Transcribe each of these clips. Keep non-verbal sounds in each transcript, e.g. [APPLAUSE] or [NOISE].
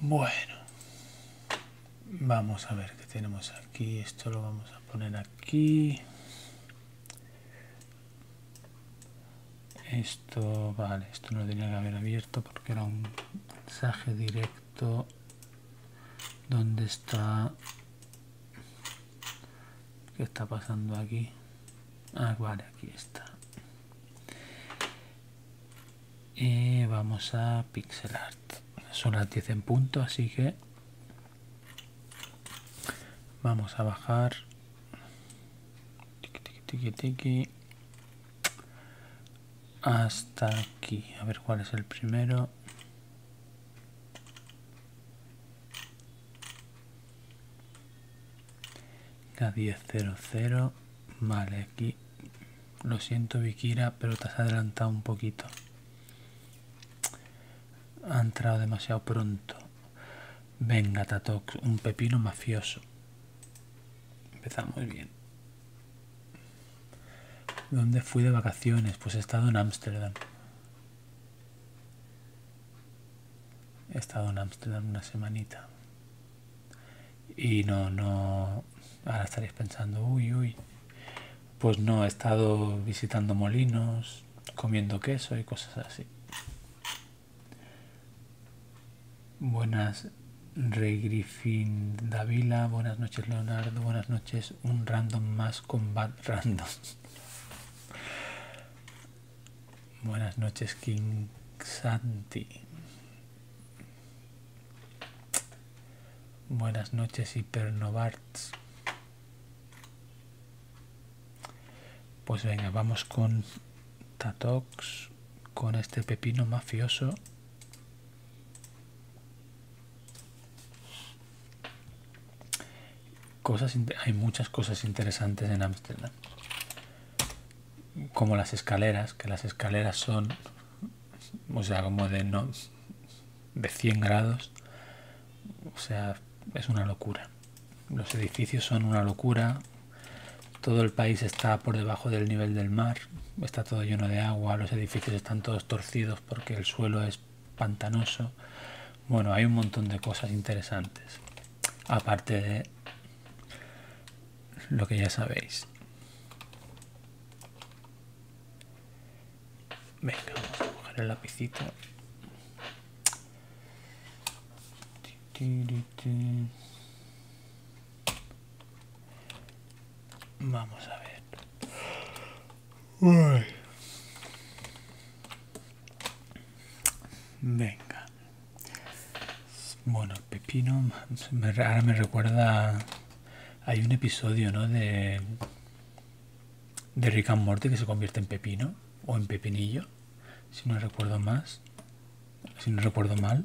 Bueno, vamos a ver qué tenemos aquí. Esto lo vamos a poner aquí. Esto, vale, esto no tenía que haber abierto porque era un mensaje directo. donde está? ¿Qué está pasando aquí? Ah, vale, aquí está. Y vamos a pixel art. Son las 10 en punto, así que vamos a bajar. Hasta aquí. A ver cuál es el primero. K1000. Vale, aquí. Lo siento, Vikira, pero te has adelantado un poquito. Ha entrado demasiado pronto. Venga, Tatox, un pepino mafioso. Empezamos bien. ¿Dónde fui de vacaciones? Pues he estado en Ámsterdam. He estado en Amsterdam una semanita. Y no, no. Ahora estaréis pensando, uy, uy. Pues no, he estado visitando molinos, comiendo queso y cosas así. Buenas, Rey Griffin Davila. Buenas noches, Leonardo. Buenas noches. Un random más con Random. Buenas noches, King Santi. Buenas noches, Hipernovarts. Pues venga, vamos con Tatox, con este pepino mafioso hay muchas cosas interesantes en Ámsterdam. Como las escaleras, que las escaleras son, o sea, como de, de 100 grados. O sea, es una locura. Los edificios son una locura. Todo el país está por debajo del nivel del mar. Está todo lleno de agua. Los edificios están todos torcidos porque el suelo es pantanoso. Bueno, hay un montón de cosas interesantes aparte de lo que ya sabéis. Venga, vamos a coger el lapicito. Vamos a ver. Venga, bueno, pepino ahora me recuerda. Hay un episodio, ¿no? De, de Rick and Morty que se convierte en pepino o en pepinillo, si no recuerdo más. Si no recuerdo mal.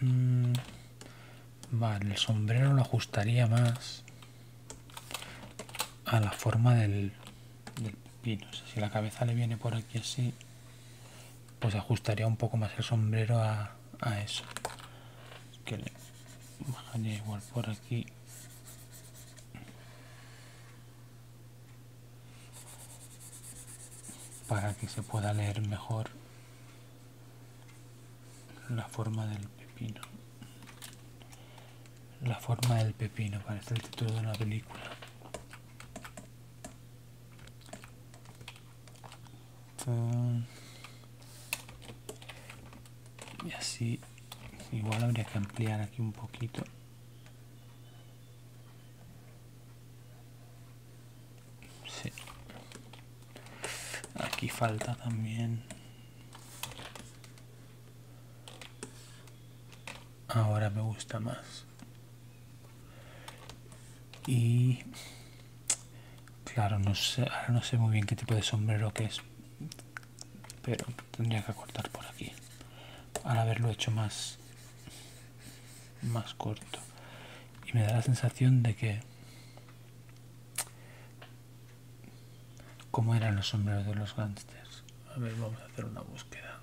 Mm, Vale, el sombrero lo ajustaría más a la forma del, del pepino. si la cabeza le viene por aquí así, pues ajustaría un poco más el sombrero a, eso. que le bajaría igual por aquí. Para que se pueda leer mejor la forma del pepino la forma del pepino parece el título de una película y así igual habría que ampliar aquí un poquito sí Aquí falta también. Ahora me gusta más. Y claro, no sé, ahora no sé muy bien qué tipo de sombrero que es. Pero tendría que cortar por aquí. Al haberlo hecho más más corto. Y me da la sensación de que ¿Cómo eran los sombreros de los gángsters? A ver, vamos a hacer una búsqueda.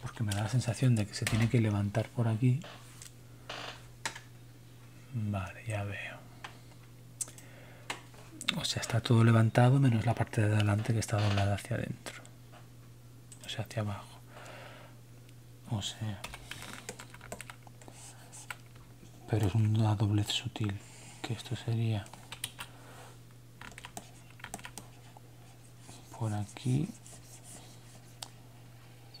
Porque me da la sensación de que se tiene que levantar por aquí. Vale, ya veo. O sea, está todo levantado menos la parte de adelante que está doblada hacia adentro o sea hacia abajo o sea pero es una doblez sutil que esto sería por aquí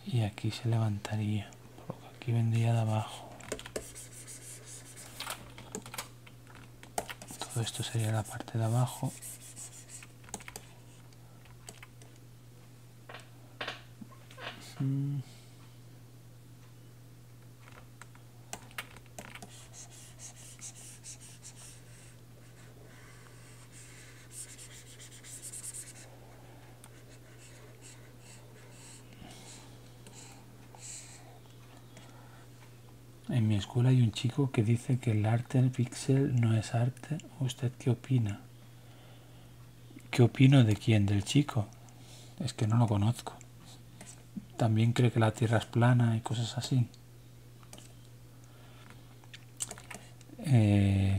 y aquí se levantaría por aquí vendría de abajo todo esto sería la parte de abajo en mi escuela hay un chico que dice que el arte pixel no es arte ¿usted qué opina? ¿Qué opino de quién? Del chico. Es que no lo conozco. También cree que la Tierra es plana y cosas así. Eh,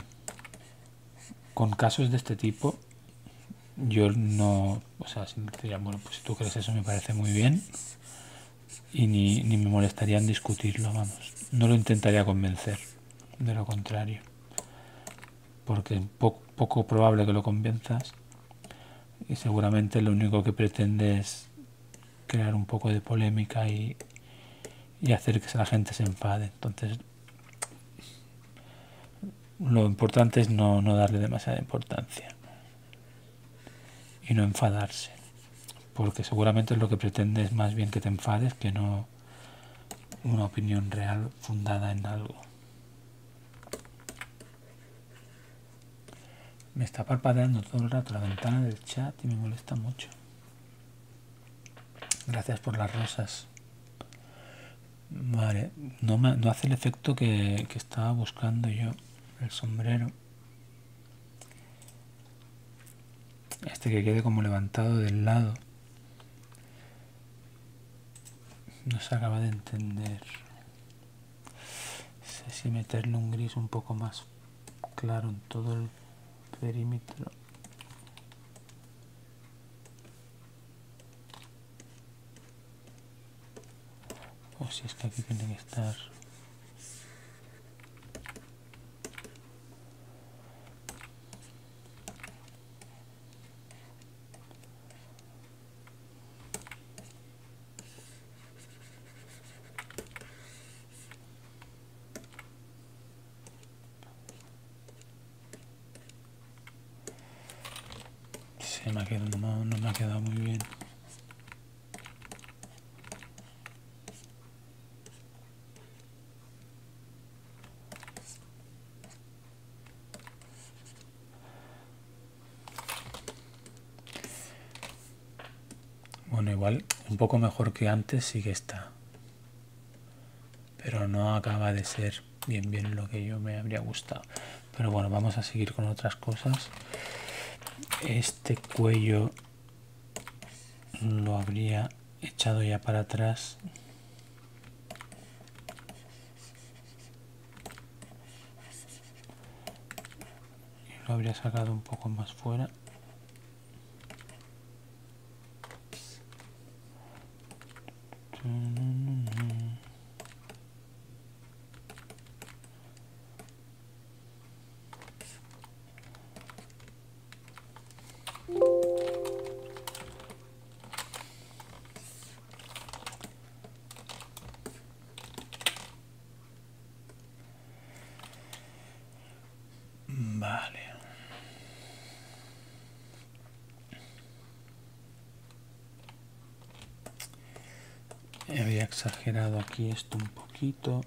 con casos de este tipo, yo no, o sea, bueno, pues si tú crees eso me parece muy bien, y ni, me molestarían discutirlo, vamos. No lo intentaría convencer, de lo contrario. Porque es poco probable que lo convenzas y seguramente lo único que pretende es crear un poco de polémica y, hacer que la gente se enfade. Entonces, lo importante es no darle demasiada importancia y no enfadarse porque seguramente lo que pretende es más bien que te enfades que no una opinión real fundada en algo. Me está parpadeando todo el rato la ventana del chat y me molesta mucho. Gracias por las rosas. Vale, no, me, no hace el efecto que estaba buscando yo, el sombrero este que quede como levantado del lado no se acaba de entender sé si meterle un gris un poco más claro en todo el perímetro o si es que aquí tiene que estar se me ha quedado, no, no me ha quedado muy bien. Bueno, igual un poco mejor que antes sí que está. Pero no acaba de ser bien bien lo que yo me habría gustado. Pero bueno, vamos a seguir con otras cosas. Este cuello lo habría echado ya para atrás y lo habría sacado un poco más fuera Vale. Había exagerado aquí esto un poquito.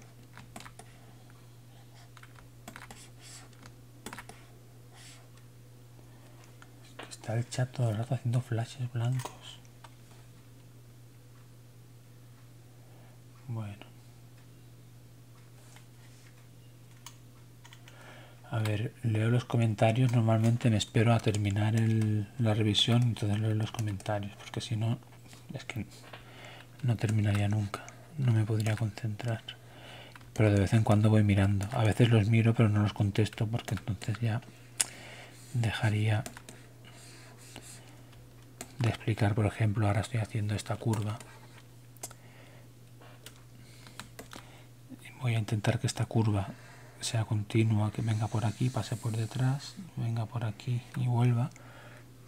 Está el chat todo el rato haciendo flashes blancos. Bueno. A ver, leo los comentarios. Normalmente me espero a terminar la revisión, entonces leo los comentarios, porque si no, es que no terminaría nunca, no me podría concentrar. Pero de vez en cuando voy mirando. A veces los miro pero no los contesto porque entonces ya dejaría de explicar. Por ejemplo, ahora estoy haciendo esta curva. Voy a intentar que esta curva sea continua, que venga por aquí, pase por detrás, venga por aquí y vuelva.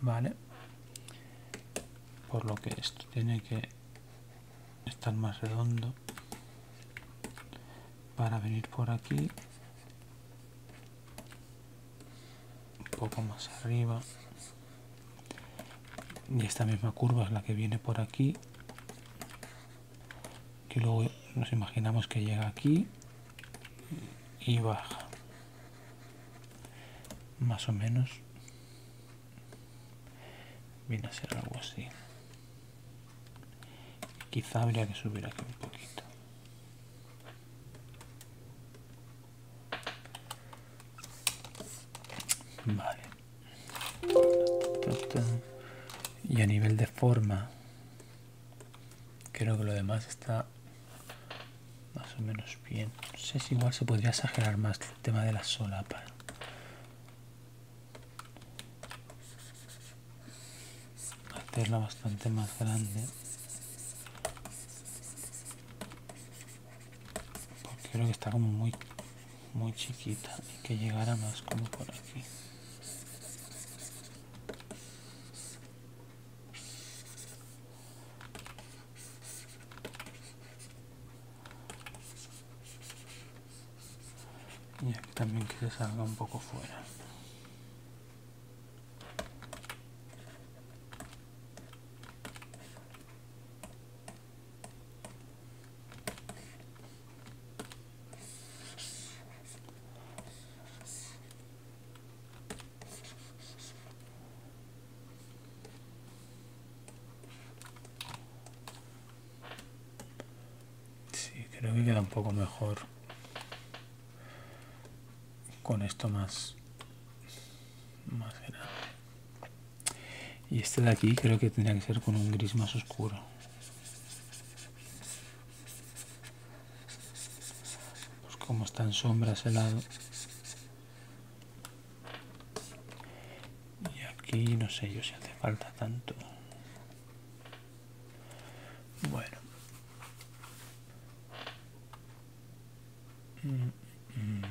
Vale por lo que esto tiene que estar más redondo para venir por aquí un poco más arriba y esta misma curva es la que viene por aquí que luego nos imaginamos que llega aquí y baja más o menos viene a ser algo así quizá habría que subir aquí un poquito vale y a nivel de forma creo que lo demás está más o menos bien no sé si igual se podría exagerar más el tema de la solapa hacerla bastante más grande porque creo que está como muy muy chiquita y que llegara más como por aquí y aquí también que se salga un poco fuera Sí, creo que queda un poco mejor con esto más, más Y este de aquí creo que tendría que ser con un gris más oscuro. Pues como están sombras lado y aquí no sé yo si hace falta tanto. Bueno. Mm, mm.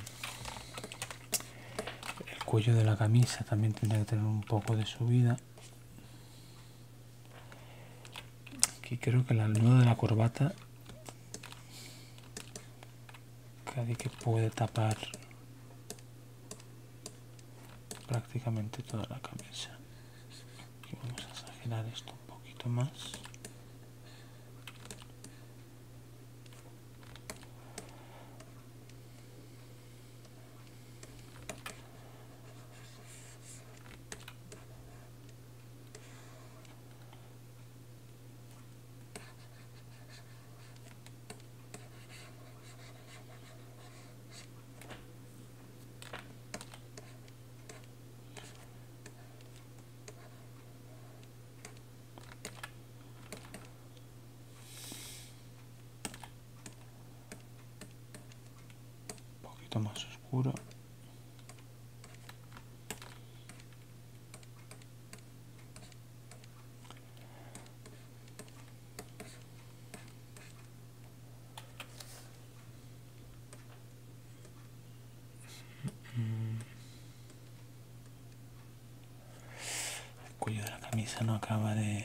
El cuello de la camisa también tendría que tener un poco de subida. Aquí creo que la nudo de la corbata casi que puede tapar prácticamente toda la cabeza Y vamos a exagerar esto un poquito más. Un poquito más oscuro el cuello de la camisa no acaba de...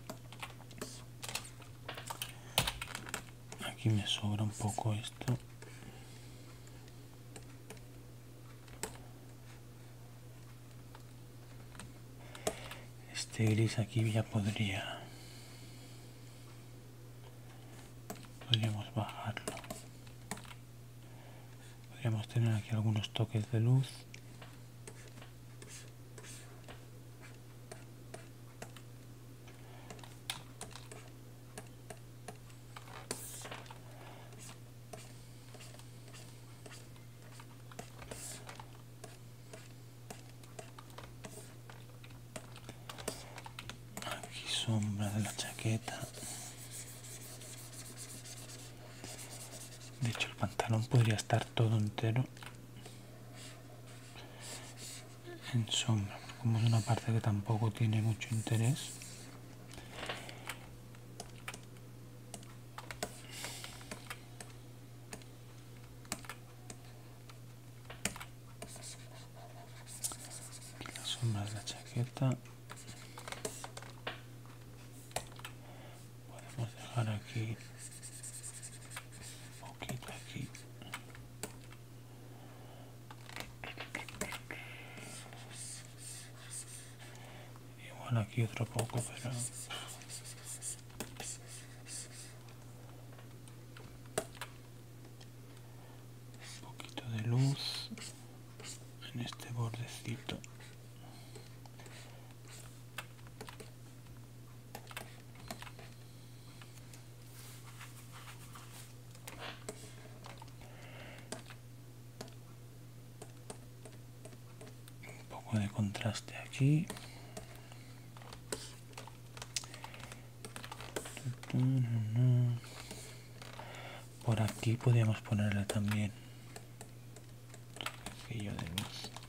aquí me sobra un poco esto este gris aquí ya podría podríamos bajarlo podríamos tener aquí algunos toques de luz Aquí sombra de la chaqueta. De hecho el pantalón podría estar todo entero en sombra como es una parte que tampoco tiene mucho interés la sombra de la chaqueta podemos dejar aquí poquito aquí y bueno aquí otro poco pero un poquito de luz en este bordecito un poco de contraste aquí por aquí podríamos ponerla también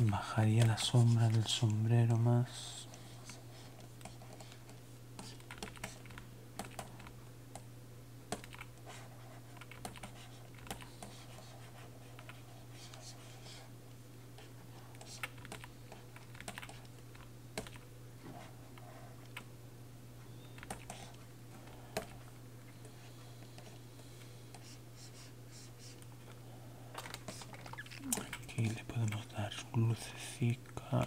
bajaría la sombra del sombrero más Aquí le podemos dar lucecita.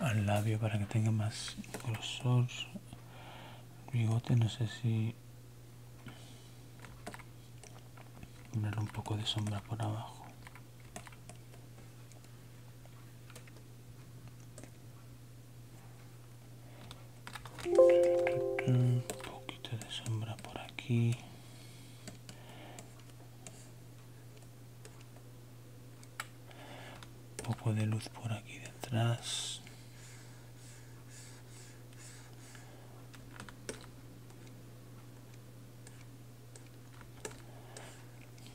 al labio para que tenga más grosor bigote no sé si ponerle un poco de sombra por abajo un poquito de sombra por aquí. Un poco de luz por aquí detrás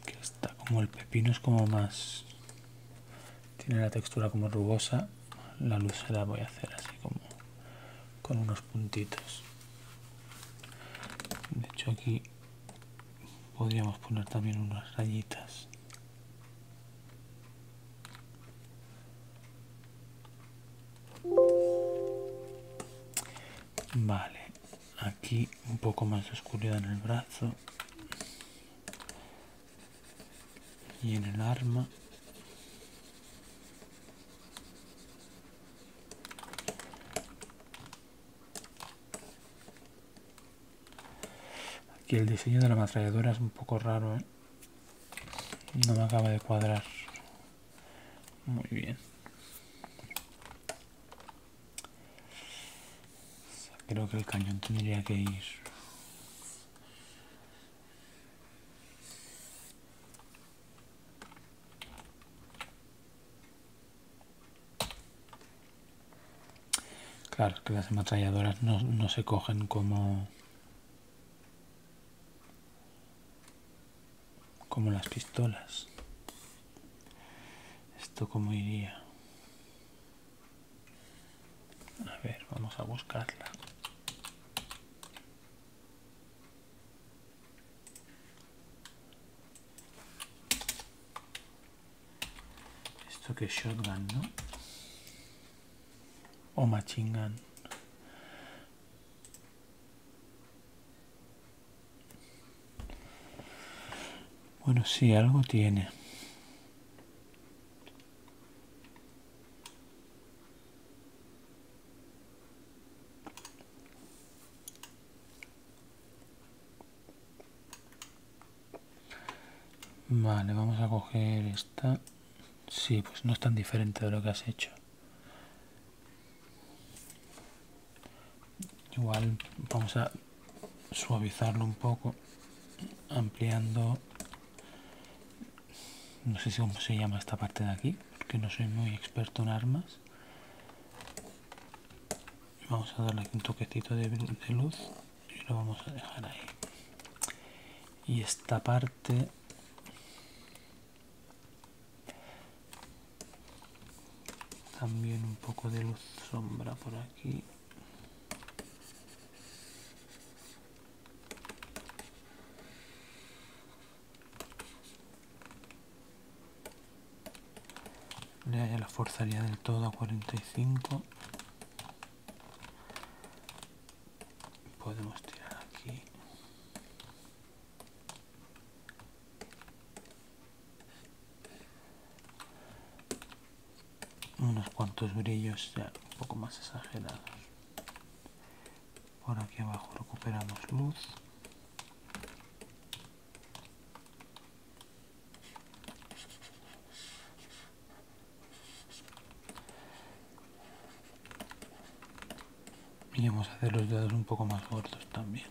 que está como el pepino es como más tiene la textura como rugosa la luz se la voy a hacer así como con unos puntitos de hecho aquí podríamos poner también unas rayitas vale aquí un poco más de oscuridad en el brazo y en el arma aquí el diseño de la ametralladora es un poco raro ¿eh? no me acaba de cuadrar muy bien. Creo que el cañón tendría que ir Claro, que las ametralladoras no, no se cogen como como las pistolas esto como iría a ver vamos a buscarla esto que es shotgun no o machine gun bueno, sí, algo tiene. Vale, vamos a coger esta. Sí, pues no es tan diferente de lo que has hecho igual vamos a suavizarlo un poco ampliando no sé cómo se llama esta parte de aquí porque no soy muy experto en armas vamos a darle aquí un toquecito de, de luz y lo vamos a dejar ahí y esta parte también un poco de luz sombra por aquí. le haya la forzaría del todo a 45. Podemos tirar aquí unos cuantos brillos ya un poco más exagerados por aquí abajo recuperamos luz y vamos a hacer los dedos un poco más gordos también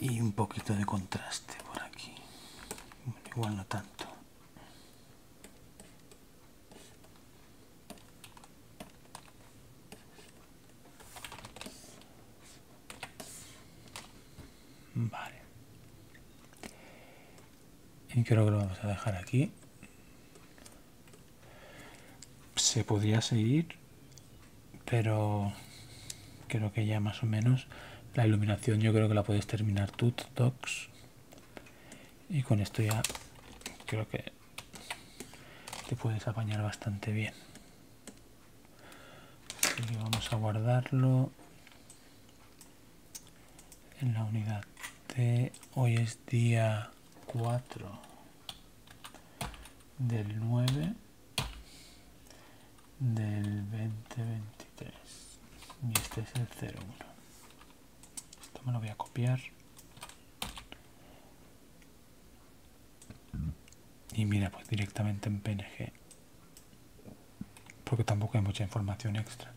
y un poquito de contraste por aquí igual no tanto Vale. Y creo que lo vamos a dejar aquí. Se podría seguir, pero creo que ya más o menos la iluminación yo creo que la puedes terminar tú, Docs y con esto ya creo que te puedes apañar bastante bien y vamos a guardarlo en la unidad T. hoy es día 4 del 9 del 2023 y este es el 01 esto me lo voy a copiar. Y mira, pues directamente en PNG. Porque tampoco hay mucha información extra.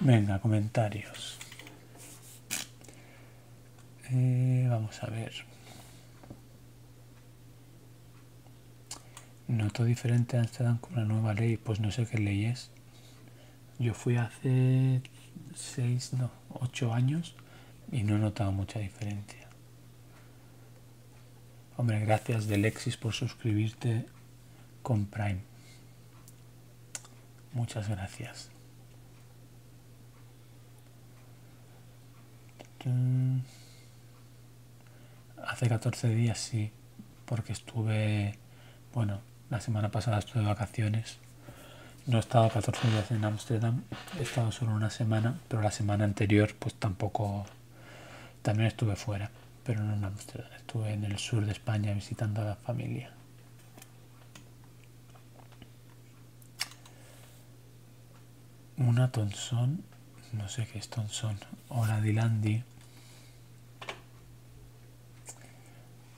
Venga, comentarios. Eh, vamos a ver. Noto diferente a Amsterdam con la nueva ley. Pues no sé qué ley es. Yo fui hace 6, no, 8 años y no he notado mucha diferencia. Hombre, gracias de Lexis por suscribirte con Prime. Muchas gracias. Hace 14 días sí, porque estuve, bueno, la semana pasada estuve de vacaciones. No he estado 14 días en Amsterdam, he estado solo una semana, pero la semana anterior pues tampoco, también estuve fuera, pero no en Ámsterdam, estuve en el sur de España visitando a la familia. Una tonsón, no sé qué es tonsón o la Dilandi.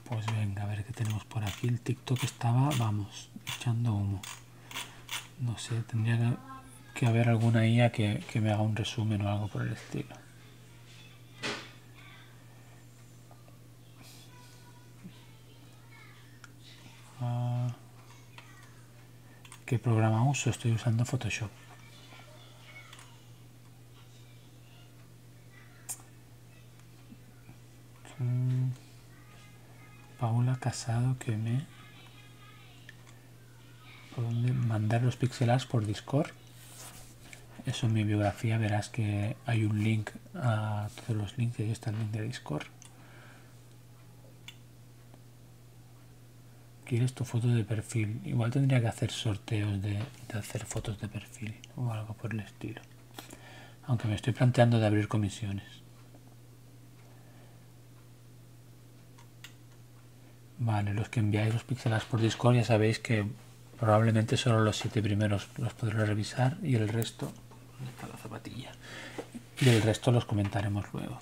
Pues venga, a ver qué tenemos por aquí. El TikTok estaba, vamos, echando humo. No sé, tendría que haber alguna IA que, me haga un resumen o algo por el estilo. Ah. ¿Qué programa uso? Estoy usando Photoshop. Mm. Paula Casado que me... mandar los píxeles por Discord? Eso en mi biografía verás que hay un link a todos los links y ahí link de Discord. ¿Quieres tu foto de perfil? Igual tendría que hacer sorteos de hacer fotos de perfil o algo por el estilo. Aunque me estoy planteando de abrir comisiones. Vale, los que enviáis los píxeles por Discord ya sabéis que probablemente solo los siete primeros los podré revisar y el resto... está la zapatilla? Y el resto los comentaremos luego.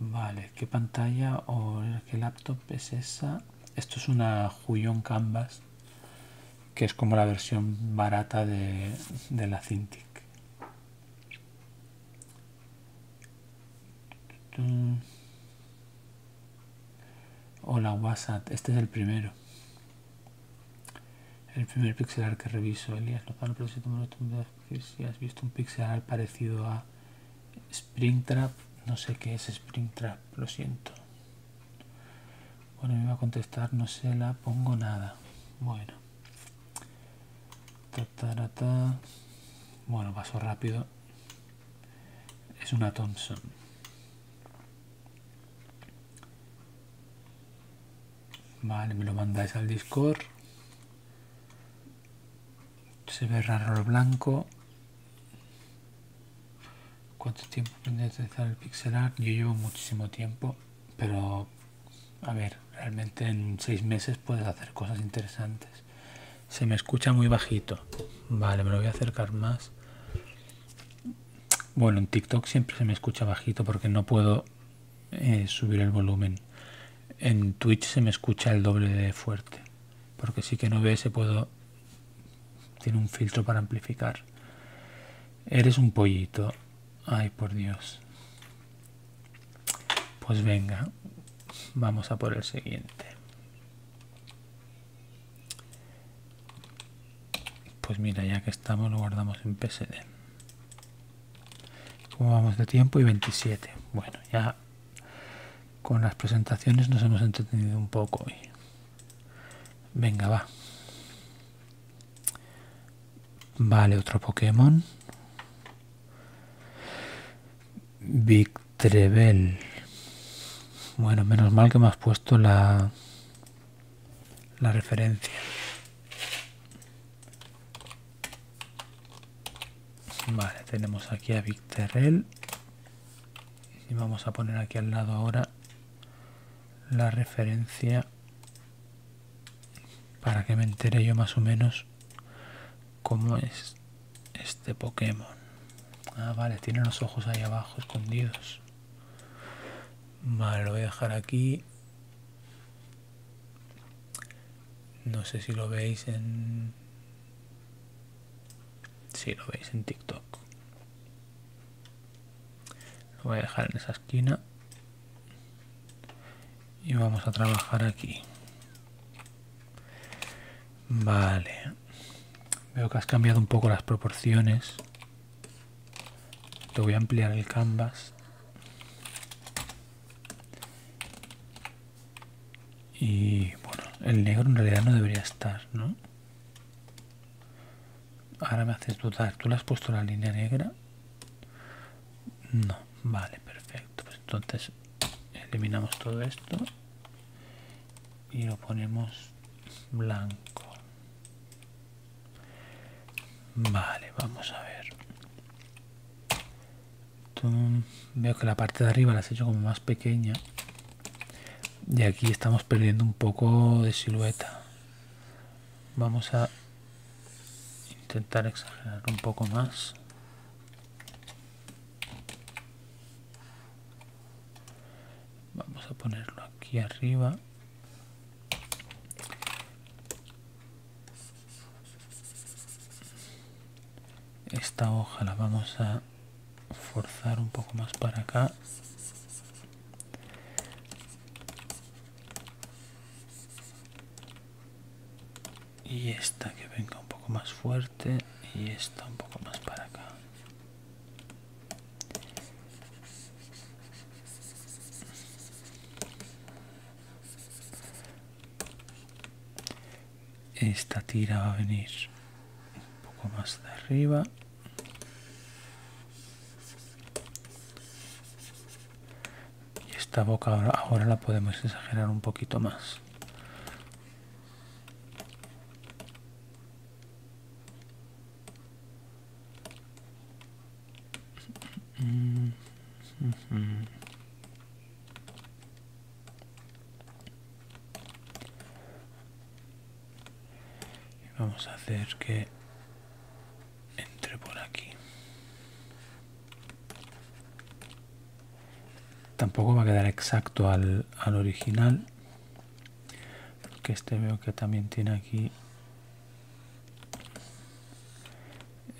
Vale, ¿qué pantalla o qué laptop es esa? Esto es una Huion Canvas, que es como la versión barata de, la Cintiq. Hola WhatsApp, este es el primero. El primer pixelar que reviso, Elías no pero si si has visto un pixelar parecido a Springtrap, no sé qué es Springtrap, lo siento. Bueno, me va a contestar, no se la pongo nada. Bueno. bueno, paso rápido. Es una Thompson. Vale, me lo mandáis al Discord. Se ve raro el blanco. ¿Cuánto tiempo tendría a utilizar el pixel art? Yo llevo muchísimo tiempo, pero a ver, realmente en seis meses puedes hacer cosas interesantes. Se me escucha muy bajito. Vale, me lo voy a acercar más. Bueno, en TikTok siempre se me escucha bajito porque no puedo eh, subir el volumen. En Twitch se me escucha el doble de fuerte. Porque sí que no ve se puedo tiene un filtro para amplificar. Eres un pollito. Ay, por Dios. Pues venga, vamos a por el siguiente. Pues mira, ya que estamos lo guardamos en PSD. ¿Cómo vamos de tiempo? Y 27. Bueno, ya con las presentaciones nos hemos entretenido un poco Venga, va. Vale, otro Pokémon. Victrebel. Bueno, menos mal que me has puesto la, la referencia. Vale, tenemos aquí a Victrebel y vamos a poner aquí al lado ahora la referencia para que me entere yo más o menos cómo es este Pokémon. Ah, vale, tiene los ojos ahí abajo escondidos. Vale, lo voy a dejar aquí. No sé si lo veis en si lo veis en TikTok. Lo voy a dejar en esa esquina y vamos a trabajar aquí. Vale, veo que has cambiado un poco las proporciones. Te voy a ampliar el canvas y bueno, el negro en realidad no debería estar, ¿no? Ahora me haces dudar. ¿Tú le has puesto la línea negra? No, vale, perfecto. Pues entonces eliminamos todo esto y lo ponemos blanco. Vale, vamos a ver. Veo que la parte de arriba la has hecho como más pequeña y aquí estamos perdiendo un poco de silueta vamos a intentar exagerar un poco más vamos a ponerlo aquí arriba esta hoja la vamos a forzar un poco más para acá y esta que venga un poco más fuerte y esta un poco más para acá esta tira va a venir un poco más de arriba y esta boca ahora, ahora la podemos exagerar un poquito más y vamos a hacer que entre por aquí. Tampoco va a quedar exacto al, al original. Porque este veo que también tiene aquí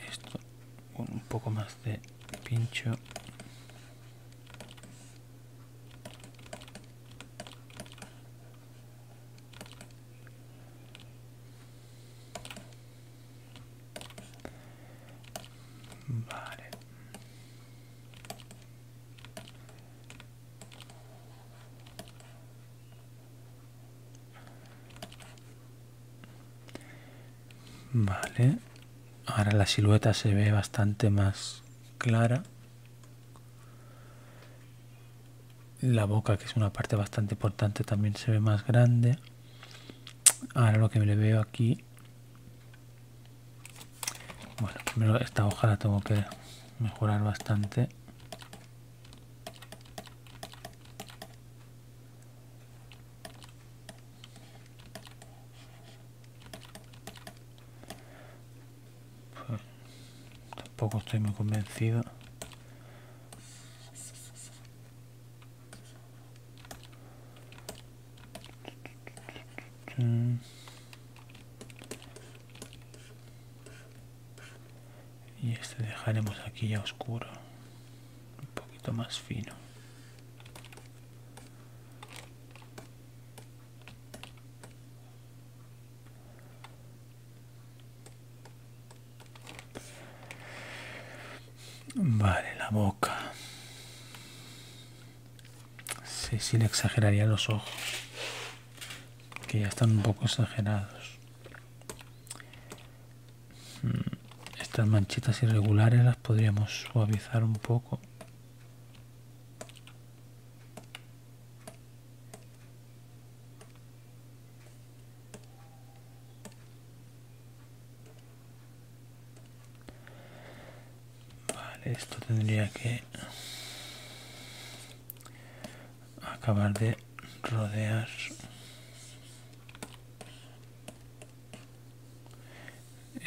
esto un poco más de pincho Vale. Vale. Ahora la silueta se ve bastante más clara. La boca, que es una parte bastante importante, también se ve más grande. Ahora lo que me le veo aquí... Bueno, esta hoja la tengo que mejorar bastante tampoco estoy muy convencido. Y este dejaremos aquí ya oscuro, un poquito más fino. Vale, la boca. Sí, sí le exageraría los ojos. Que ya están un poco exagerados. Hmm, estas manchitas irregulares las podríamos suavizar un poco. Vale, esto tendría que acabar de rodear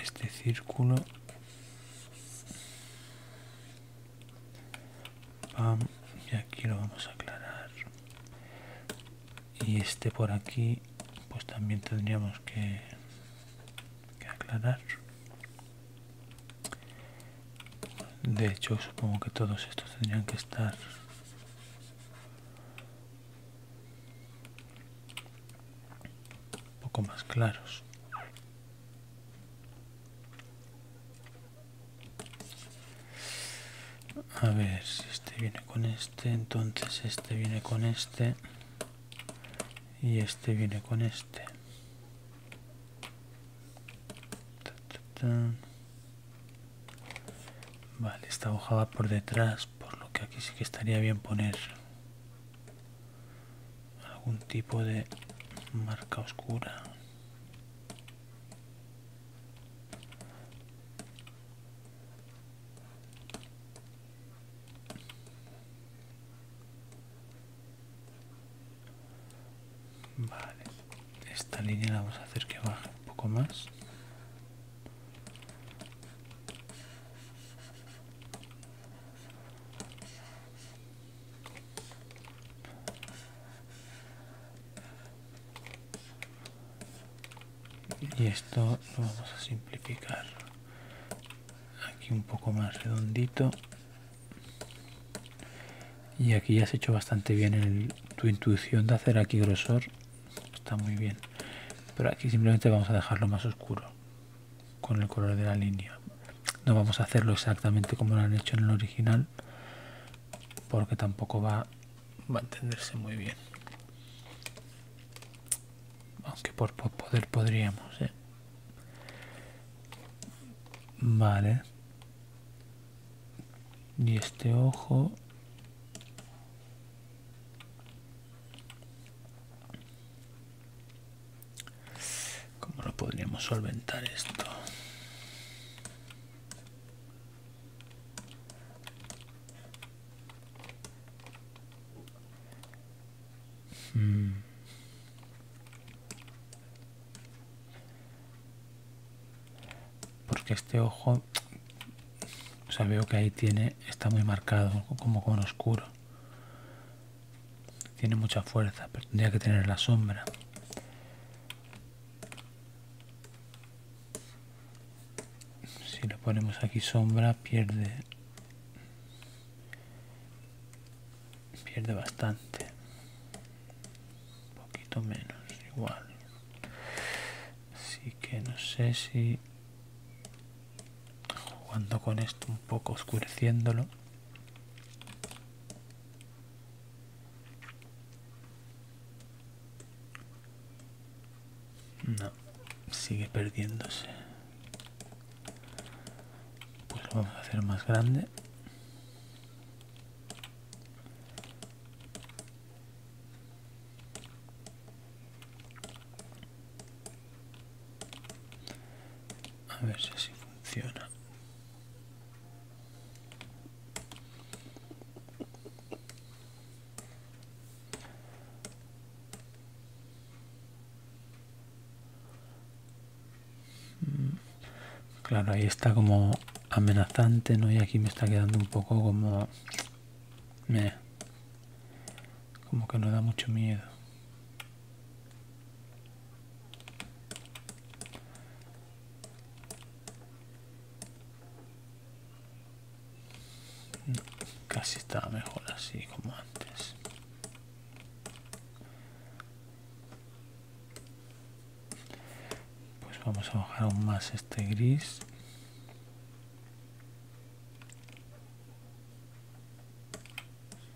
este círculo y aquí lo vamos a aclarar y este por aquí pues también tendríamos que, que aclarar de hecho supongo que todos estos tendrían que estar un poco más claros a ver si este viene con este entonces este viene con este y este viene con este vale esta hoja por detrás por lo que aquí sí que estaría bien poner algún tipo de marca oscura Vale, esta línea la vamos a hacer que baje un poco más y esto lo vamos a simplificar aquí un poco más redondito y aquí ya has hecho bastante bien tu intuición de hacer aquí grosor está muy bien pero aquí simplemente vamos a dejarlo más oscuro con el color de la línea no vamos a hacerlo exactamente como lo han hecho en el original porque tampoco va, a entenderse muy bien aunque por, poder podríamos ¿eh? vale y este ojo ¿Cómo lo podríamos solventar esto? Hmm. Porque este ojo, o sea, veo que ahí tiene, está muy marcado, como con oscuro. Tiene mucha fuerza, pero tendría que tener la sombra. Si le ponemos aquí sombra, pierde pierde bastante. Un poquito menos, igual. Así que no sé si jugando con esto un poco oscureciéndolo no sigue perdiéndose pues lo vamos a hacer más grande a ver si funciona. Mm, claro, ahí está como amenazante, ¿no? Y aquí me está quedando un poco como... me, Como que no da mucho miedo. Casi está mejor así como antes. Pues vamos a bajar aún más este gris.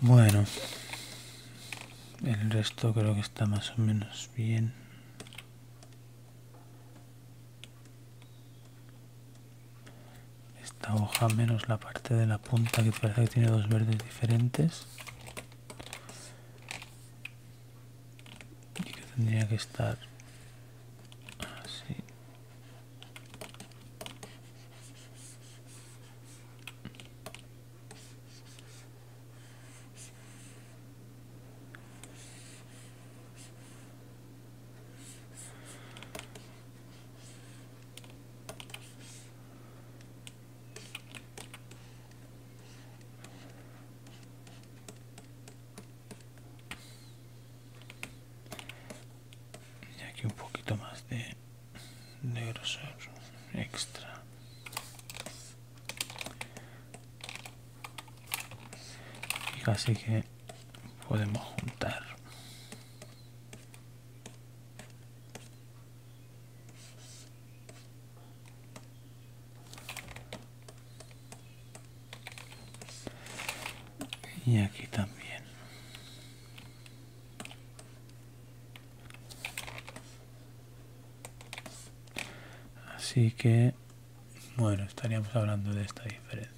Bueno, el resto creo que está más o menos bien. Esta hoja menos la parte de la punta que parece que tiene dos verdes diferentes. Y que tendría que estar así y aquí un poquito más de negros extra. Y casi que podemos juntar. Y aquí también. Así que, bueno, estaríamos hablando de esta diferencia.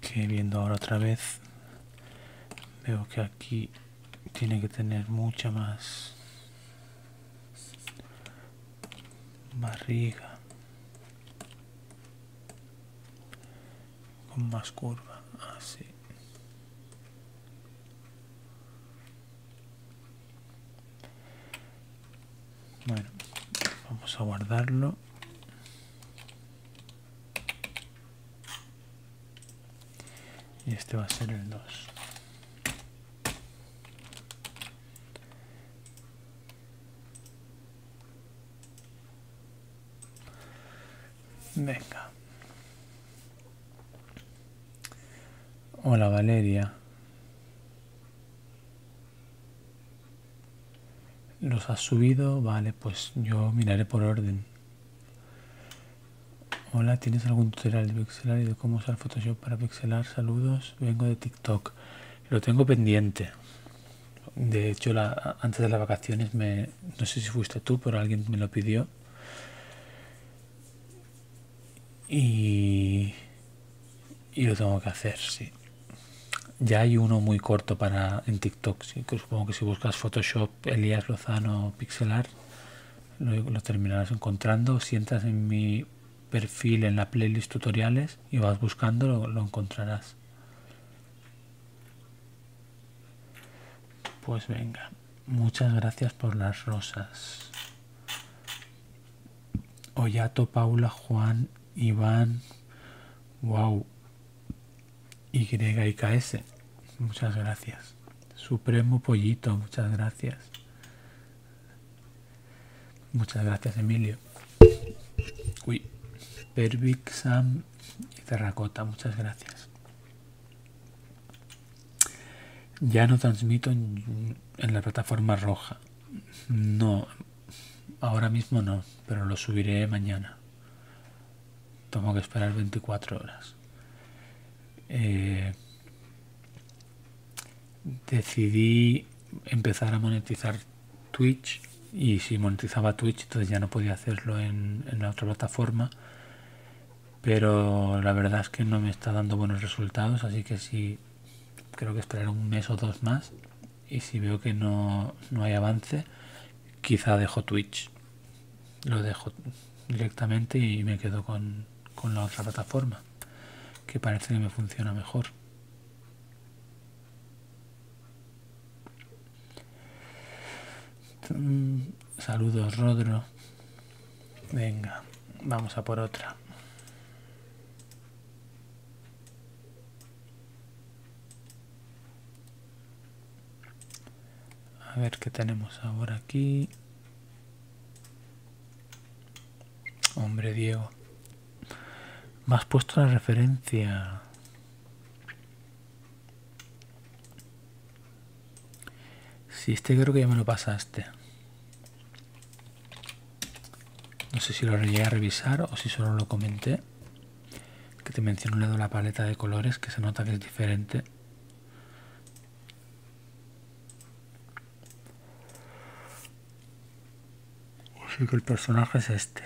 Que viendo ahora otra vez, veo que aquí tiene que tener mucha más barriga con más curva así ah, bueno vamos a guardarlo y este va a ser el 2 Venga. Hola Valeria. ¿Los ha subido? Vale, pues yo miraré por orden. Hola, ¿tienes algún tutorial de pixelar y de cómo usar Photoshop para pixelar? Saludos, vengo de TikTok. Lo tengo pendiente. De hecho, la, antes de las vacaciones, me, no sé si fuiste tú, pero alguien me lo pidió. Y, yo lo tengo que hacer, sí. Ya hay uno muy corto para en TikTok, supongo que si buscas Photoshop, Elías Lozano, pixelar, lo terminarás encontrando. Si entras en mi perfil en la playlist tutoriales y vas buscando, lo, encontrarás. Pues venga, muchas gracias por las rosas. Oyato, Paula, Juan, Iván, wow, y YKS, muchas gracias. Supremo Pollito, muchas gracias. Muchas gracias, Emilio. Uy, Pervic, Sam y Terracota, muchas gracias. Ya no transmito en, en la plataforma roja. No, ahora mismo no, pero lo subiré mañana. Tengo que esperar 24 horas. Eh, decidí empezar a monetizar Twitch y si monetizaba Twitch entonces ya no podía hacerlo en, la otra plataforma pero la verdad es que no me está dando buenos resultados así que sí creo que esperar un mes o dos más y si veo que no, hay avance quizá dejo Twitch lo dejo directamente y me quedo con la otra plataforma que parece que me funciona mejor. Saludos, Rodro. Venga, vamos a por otra. A ver qué tenemos ahora aquí. Hombre, Diego. Me has puesto la referencia. Si este creo que ya me lo pasaste. No sé si lo llegué a revisar o si solo lo comenté. Que te menciono le de la paleta de colores que se nota que es diferente. Así que el personaje es este.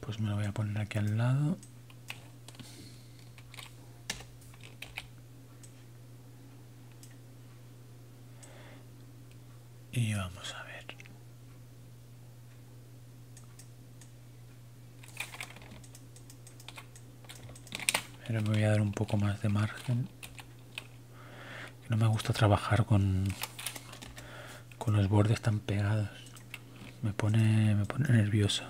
Pues me lo voy a poner aquí al lado. Y vamos a ver. Pero me voy a dar un poco más de margen. No me gusta trabajar con, con los bordes tan pegados. Me pone, me pone nervioso.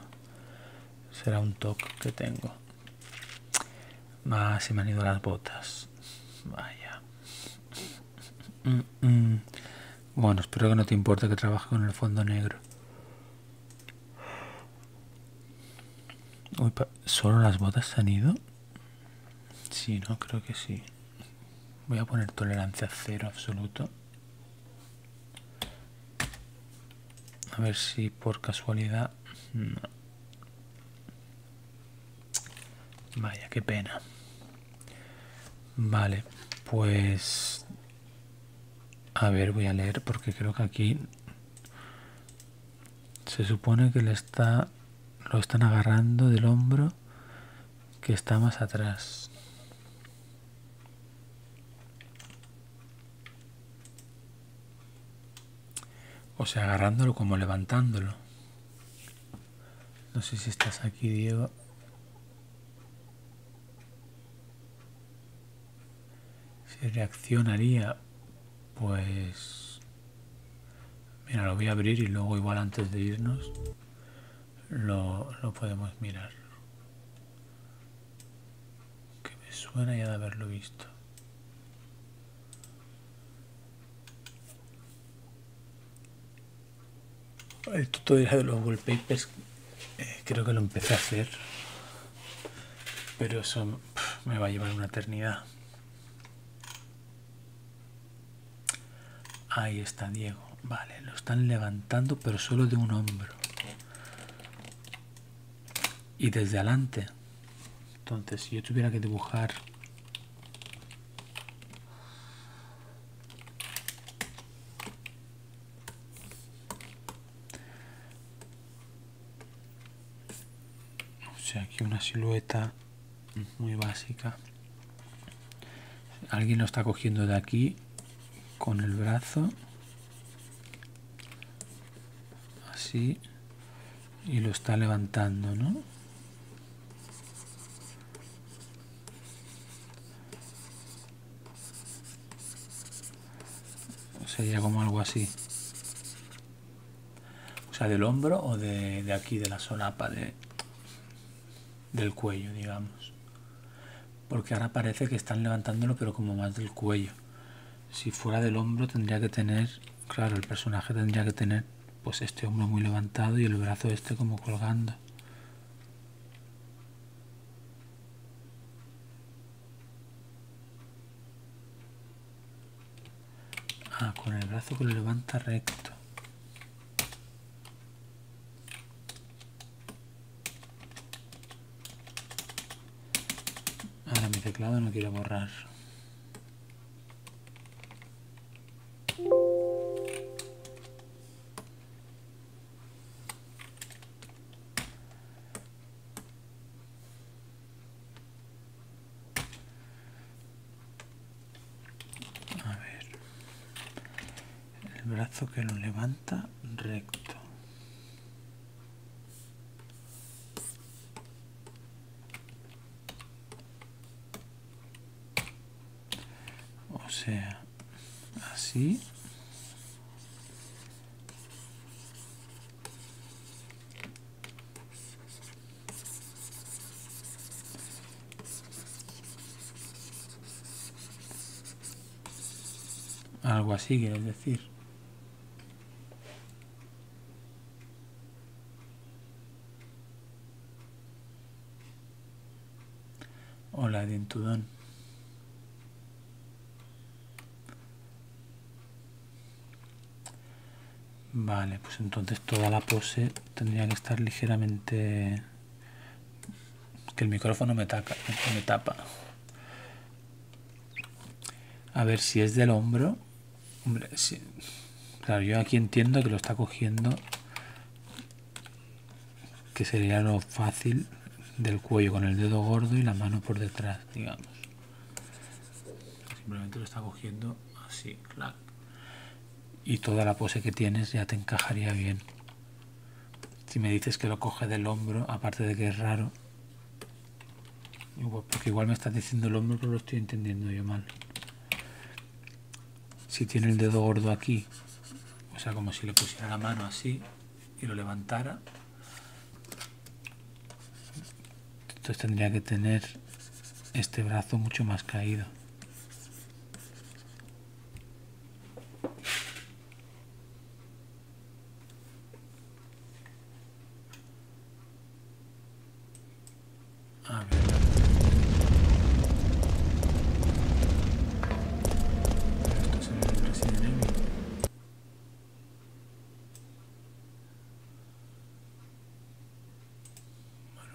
Será un toque que tengo. más ah, se me han ido las botas. Vaya. Mm, mm. Bueno, espero que no te importe que trabaje con el fondo negro. ¿Solo las botas se han ido? Sí, no, creo que sí. Voy a poner tolerancia cero absoluto. A ver si por casualidad... Vaya, qué pena. Vale, pues a ver, voy a leer porque creo que aquí se supone que le está lo están agarrando del hombro que está más atrás. O sea, agarrándolo como levantándolo. No sé si estás aquí, Diego. Si reaccionaría, pues... Mira, lo voy a abrir y luego igual antes de irnos lo, lo podemos mirar. Que me suena ya de haberlo visto. Esto todavía de los wallpapers eh, creo que lo empecé a hacer, pero eso me va a llevar una eternidad. Ahí está Diego. Vale, lo están levantando, pero solo de un hombro. Y desde adelante. Entonces, si yo tuviera que dibujar o sea aquí una silueta muy básica alguien lo está cogiendo de aquí con el brazo así y lo está levantando no Sería como algo así. O sea, del hombro o de, aquí, de la solapa, de, del cuello, digamos. Porque ahora parece que están levantándolo, pero como más del cuello. Si fuera del hombro tendría que tener, claro, el personaje tendría que tener pues este hombro muy levantado y el brazo este como colgando. Ah, con el brazo que lo levanta recto. Ahora mi teclado no quiero borrar. A ver, el brazo que lo levanta recto. O sea, así algo así, quieres decir. Hola, dentudón. Vale, pues entonces toda la pose tendría que estar ligeramente... Que el micrófono me, me tapa. A ver si es del hombro. Hombre, Claro, yo aquí entiendo que lo está cogiendo. Que sería lo fácil del cuello con el dedo gordo y la mano por detrás, digamos. Simplemente lo está cogiendo así, clac. Y toda la pose que tienes ya te encajaría bien. Si me dices que lo coge del hombro, aparte de que es raro, porque igual me estás diciendo el hombro, pero lo estoy entendiendo yo mal. Si tiene el dedo gordo aquí, o sea, como si le pusiera la mano así y lo levantara, entonces tendría que tener este brazo mucho más caído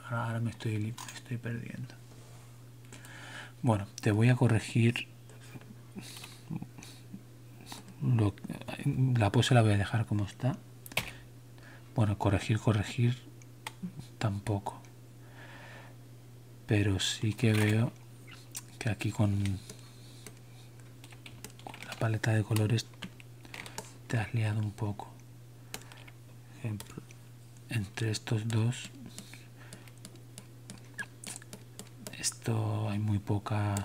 ahora, me, estoy, perdiendo. Bueno, te voy a corregir. la pose la voy a dejar como está. Bueno, corregir, corregir tampoco. Pero sí que veo que aquí con la paleta de colores te has liado un poco entre estos dos esto hay muy poca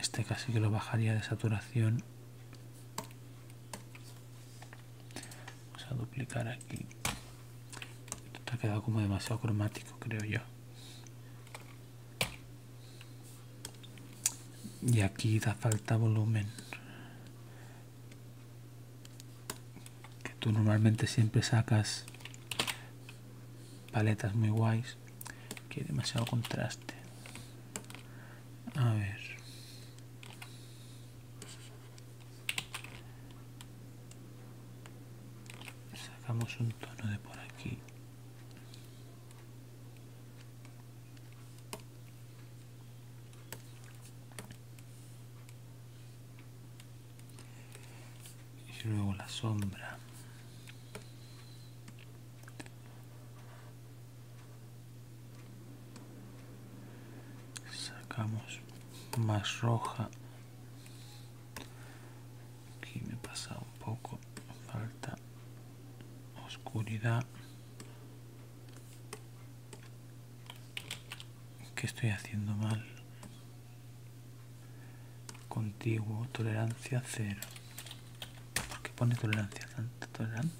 este casi que lo bajaría de saturación vamos a duplicar aquí esto ha quedado como demasiado cromático creo yo y aquí da falta volumen que tú normalmente siempre sacas paletas muy guays que hay demasiado contraste a ver sacamos un tono de por aquí y luego la sombra. Sacamos más roja aquí me pasa un poco falta oscuridad ¿qué estoy haciendo mal contigo tolerancia cero ¿por qué pone tolerancia tanta tolerancia?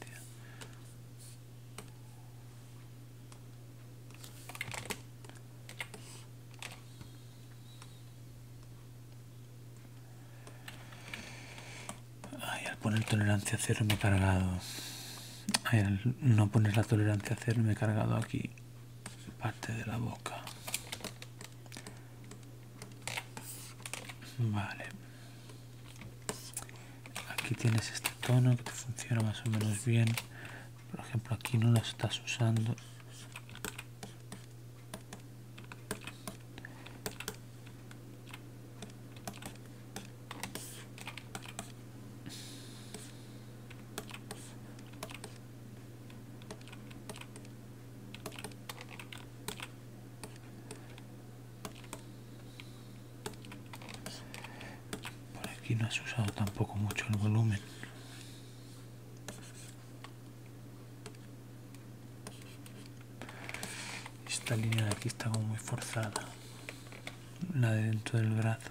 al poner tolerancia cero me he cargado. al no poner la tolerancia cero me he cargado aquí parte de la boca. Vale. Aquí tienes este tono que funciona más o menos bien. Por ejemplo, aquí no lo estás usando. Por aquí no has usado tampoco mucho el volumen. Esta línea de aquí está como muy forzada, la de dentro del brazo.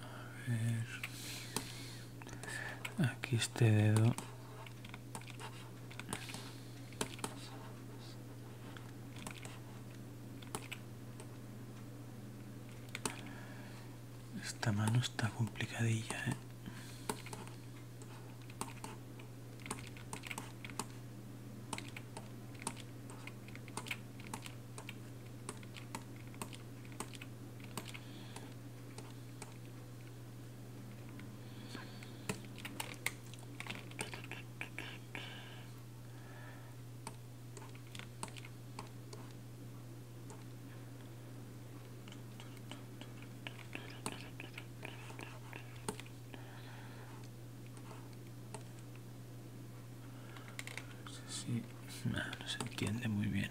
A ver. Aquí este dedo. Esta mano está complicadilla, ¿eh? Sí, no se entiende muy bien.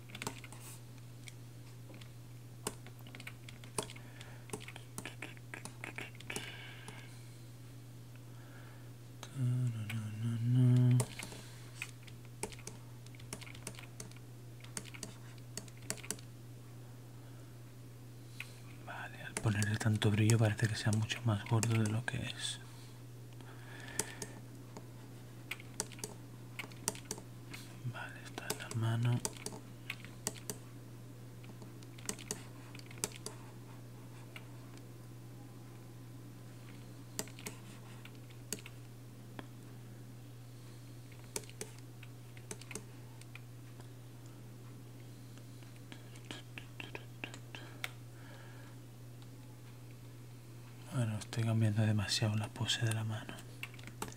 Vale, al ponerle tanto brillo parece que sea mucho más gordo de lo que es. Vale, está la mano. Bueno, estoy cambiando demasiado la pose de la mano.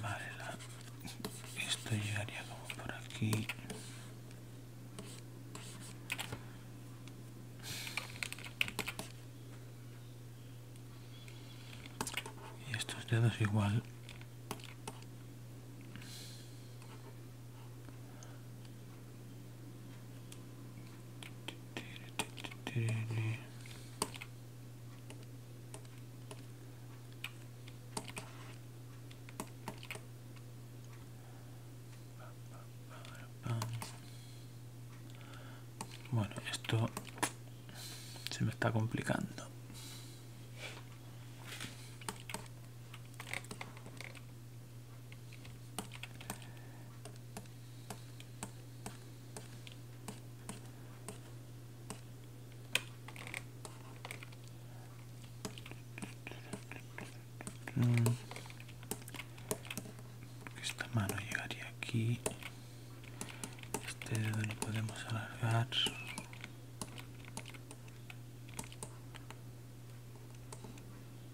Vale, esto llegaría como por aquí. Y estos dedos igual. Bueno, esto se me está complicando esta mano llegaría aquí este dedo lo podemos alargar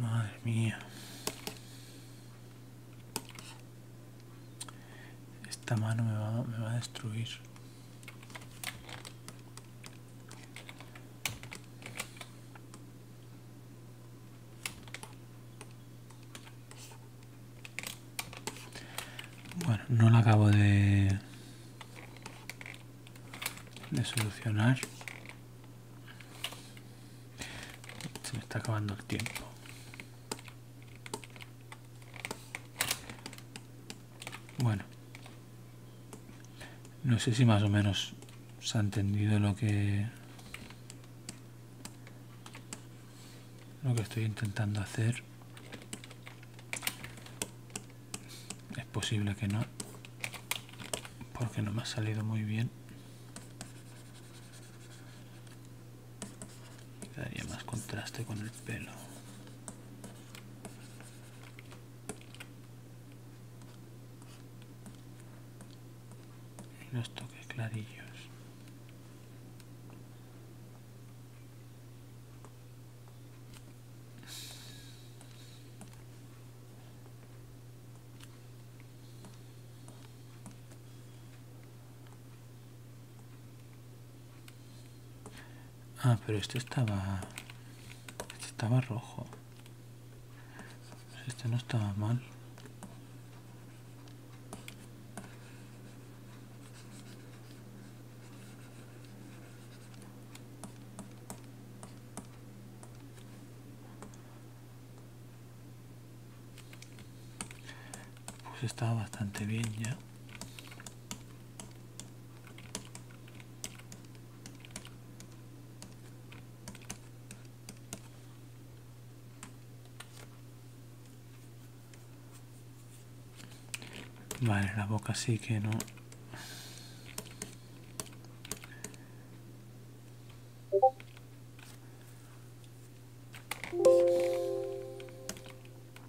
Madre mía. Esta mano me va, a destruir. Bueno, no la acabo de, de solucionar. Se me está acabando el tiempo. Bueno, no sé si más o menos se ha entendido lo que lo que estoy intentando hacer. Es posible que no, porque no me ha salido muy bien. Daría más contraste con el pelo los toques clarillos Ah, pero este estaba... Este estaba rojo. Este no estaba mal. Pues estaba bastante bien ya. Vale, la boca sí que no.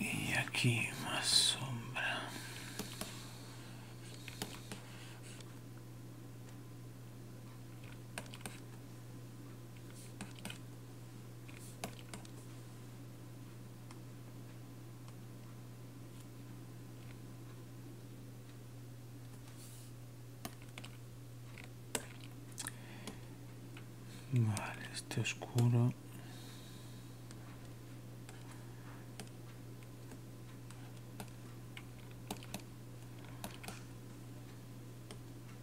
y aquí más sombra Vale, este oscuro.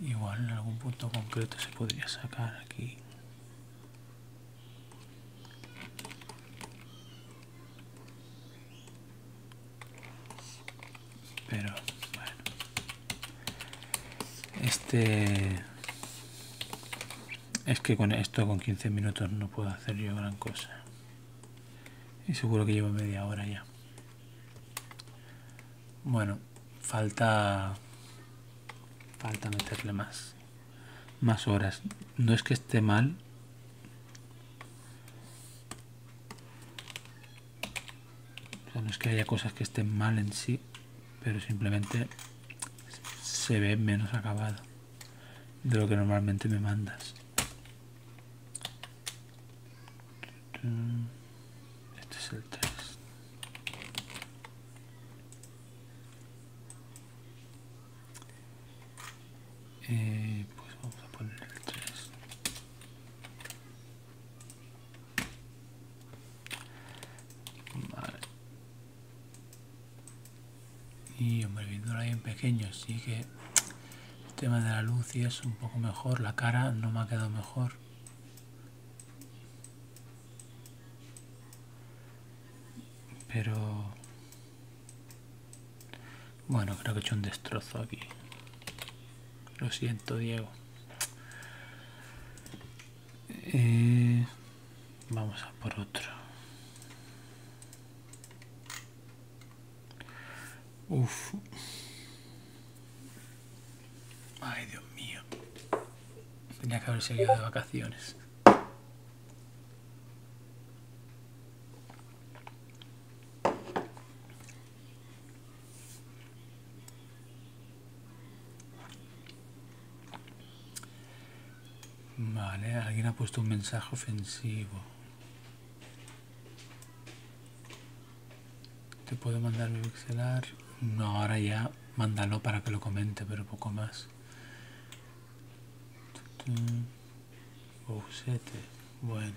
igual en algún punto concreto se podría sacar aquí pero bueno este es que con esto con 15 minutos no puedo hacer yo gran cosa y seguro que llevo media hora ya bueno, falta falta meterle más más horas. No es que esté mal. no es que haya cosas que estén mal en sí, pero simplemente se ve menos acabado de lo que normalmente me mandas. Este es el 3. Eh, pues vamos a poner el 3. Vale. Y hombre, viendo ahí en pequeño, sí que el tema de la luz y es un poco mejor. La cara no me ha quedado mejor. Pero... Bueno, creo que he hecho un destrozo aquí. Lo siento, Diego. Eh, vamos a por otro. Uf. Ay, Dios mío. Tenía que haber seguido de vacaciones. Vale, alguien ha puesto un mensaje ofensivo. Te puedo mandar mi pixelar. No, ahora ya mándalo para que lo comente, pero poco más. Bueno.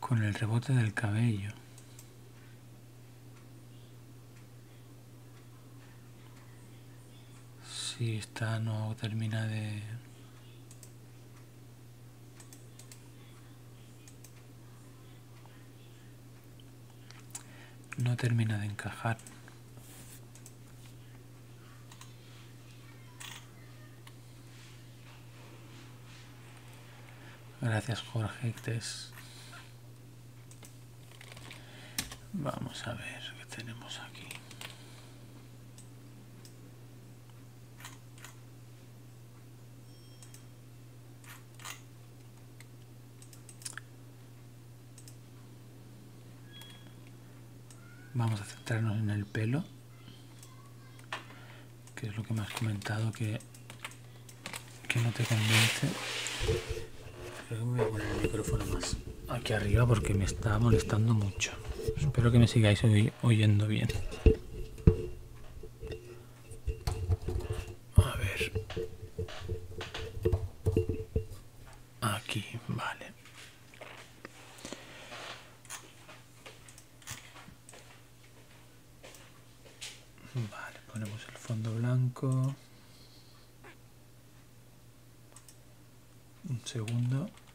Con el rebote del cabello si está, no termina de no termina de encajar gracias Jorge vamos a ver qué tenemos aquí Vamos a centrarnos en el pelo, que es lo que me has comentado que, que no te convence. poner el micrófono más aquí arriba porque me está molestando mucho. Espero que me sigáis oyendo bien. A ver. Aquí, vale. Vale, ponemos el fondo blanco. Un segundo.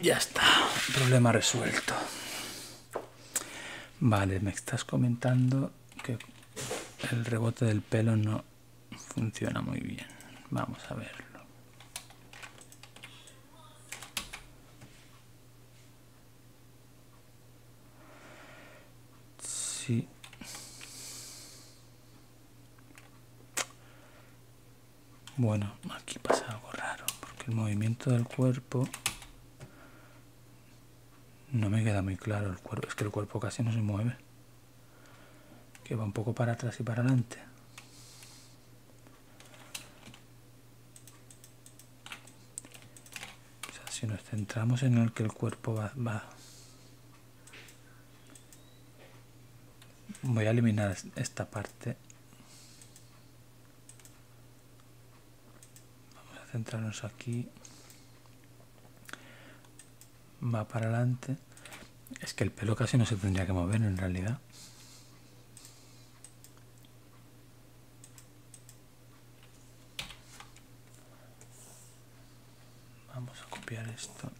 Ya está, problema resuelto. Vale, me estás comentando que el rebote del pelo no funciona muy bien. Vamos a verlo. Sí. Bueno, aquí pasa algo raro, porque el movimiento del cuerpo... No me queda muy claro el cuerpo, es que el cuerpo casi no se mueve. Que va un poco para atrás y para adelante si nos centramos en el que el cuerpo va, va voy a eliminar esta parte vamos a centrarnos aquí va para adelante es que el pelo casi no se tendría que mover en realidad vamos a copiar esto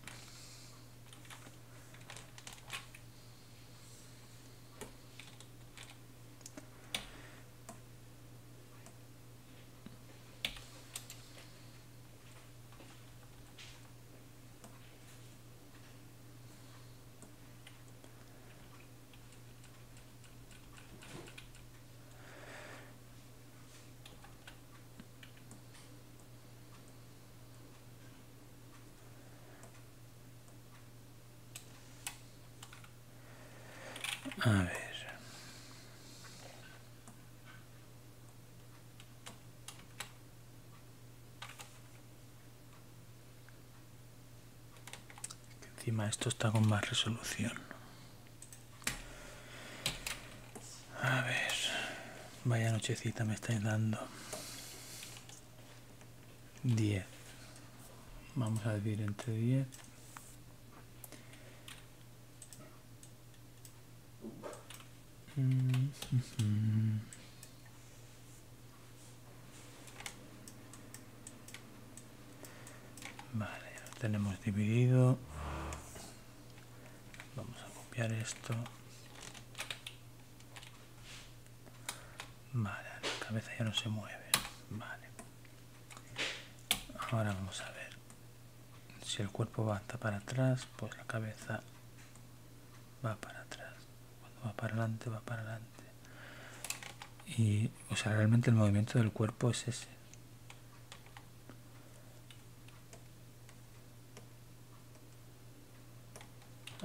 a ver. Encima esto está con más resolución. A ver, vaya nochecita me estáis dando. Diez Vamos a dividir entre diez Vale, ya lo tenemos dividido. Vamos a copiar esto. Vale, la cabeza ya no se mueve. Vale. Ahora vamos a ver. Si el cuerpo va hasta para atrás, pues la cabeza va para atrás. Cuando va para adelante, va para adelante. Y, o sea, realmente el movimiento del cuerpo es ese.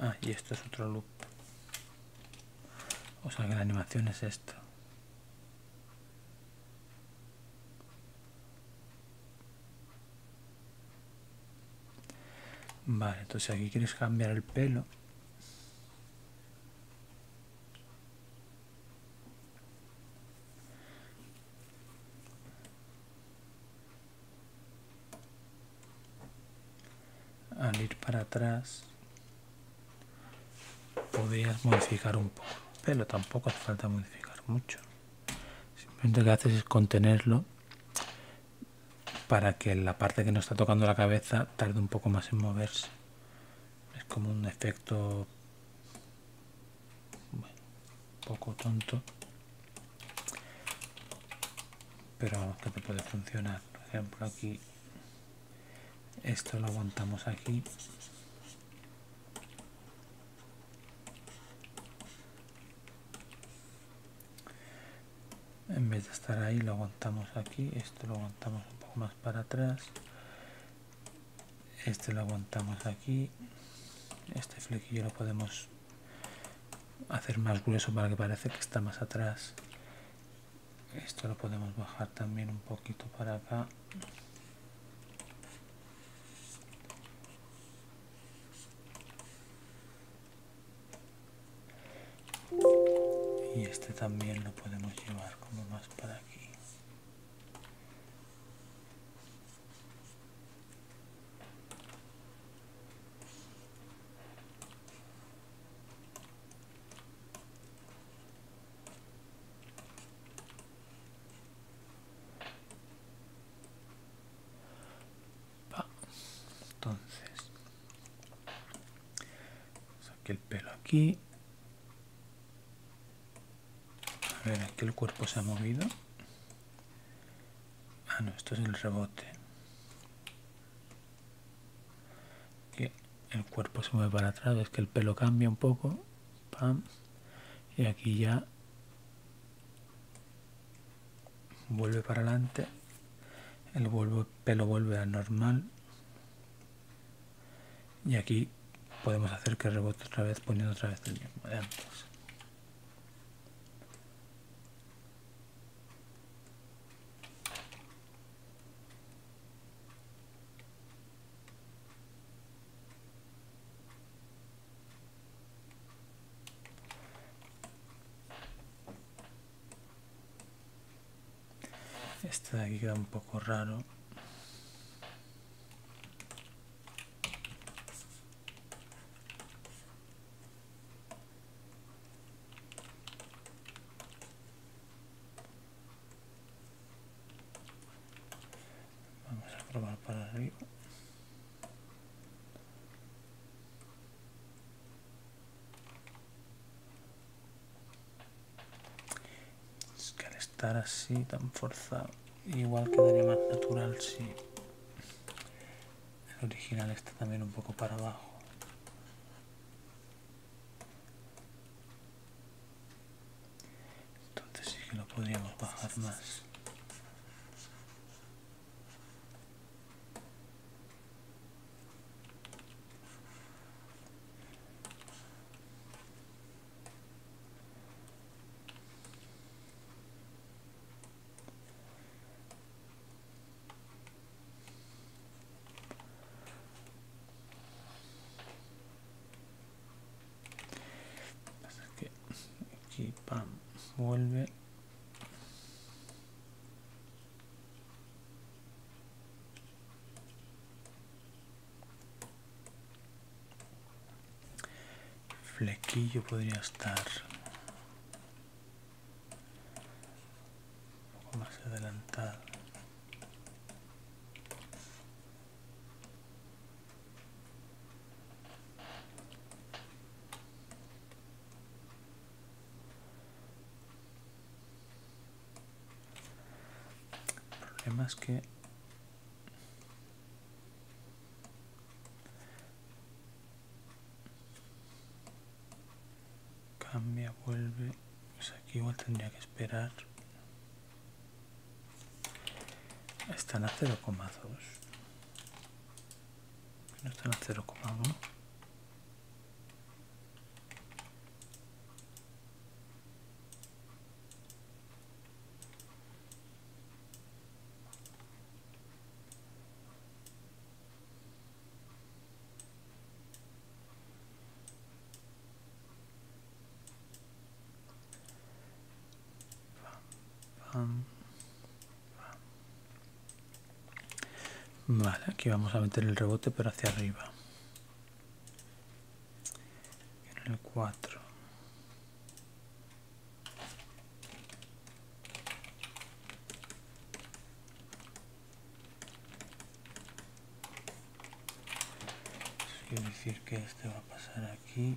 Ah, y esto es otro loop. O sea que la animación es esto. Vale, entonces aquí quieres cambiar el pelo al ir para atrás podías modificar un poco pero tampoco hace falta modificar mucho simplemente lo que haces es contenerlo para que la parte que nos está tocando la cabeza tarde un poco más en moverse es como un efecto bueno, poco tonto. Pero vamos, que te puede funcionar. Por ejemplo, aquí. Esto lo aguantamos aquí. En vez de estar ahí, lo aguantamos aquí. Esto lo aguantamos un poco más para atrás este lo aguantamos aquí este flequillo lo podemos hacer más grueso para que parece que está más atrás esto lo podemos bajar también un poquito para acá y este también lo podemos llevar como más para aquí entonces saqué el pelo aquí a ver, el cuerpo se ha movido. Ah, no, esto es el rebote. el cuerpo se mueve para atrás, es que el pelo cambia un poco. Y aquí ya vuelve para adelante. El, pelo vuelve a normal y aquí podemos hacer que rebote otra vez poniendo otra vez el mismo de antes Este de aquí queda un poco raro. Vamos a probar para arriba. Es que al estar así tan forzado, igual quedaría más natural si el original está también un poco para abajo. Entonces sí que lo podríamos bajar más que aquí vuelve flequillo podría estar un poco más adelantado El problema es que cambia, vuelve pues aquí igual tendría que esperar están a 0,2 no están a 0,1 Vale, aquí vamos a meter el rebote pero hacia arriba en el 4 es decir que este va a pasar aquí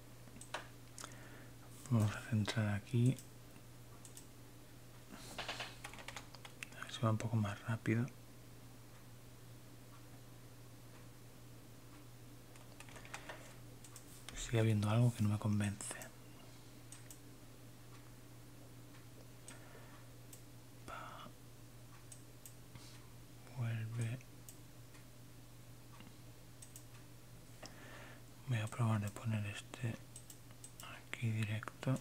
Vamos a centrar aquí. A ver si va un poco más rápido. Sigue habiendo algo que no me convence vuelve voy a probar de poner este aquí directo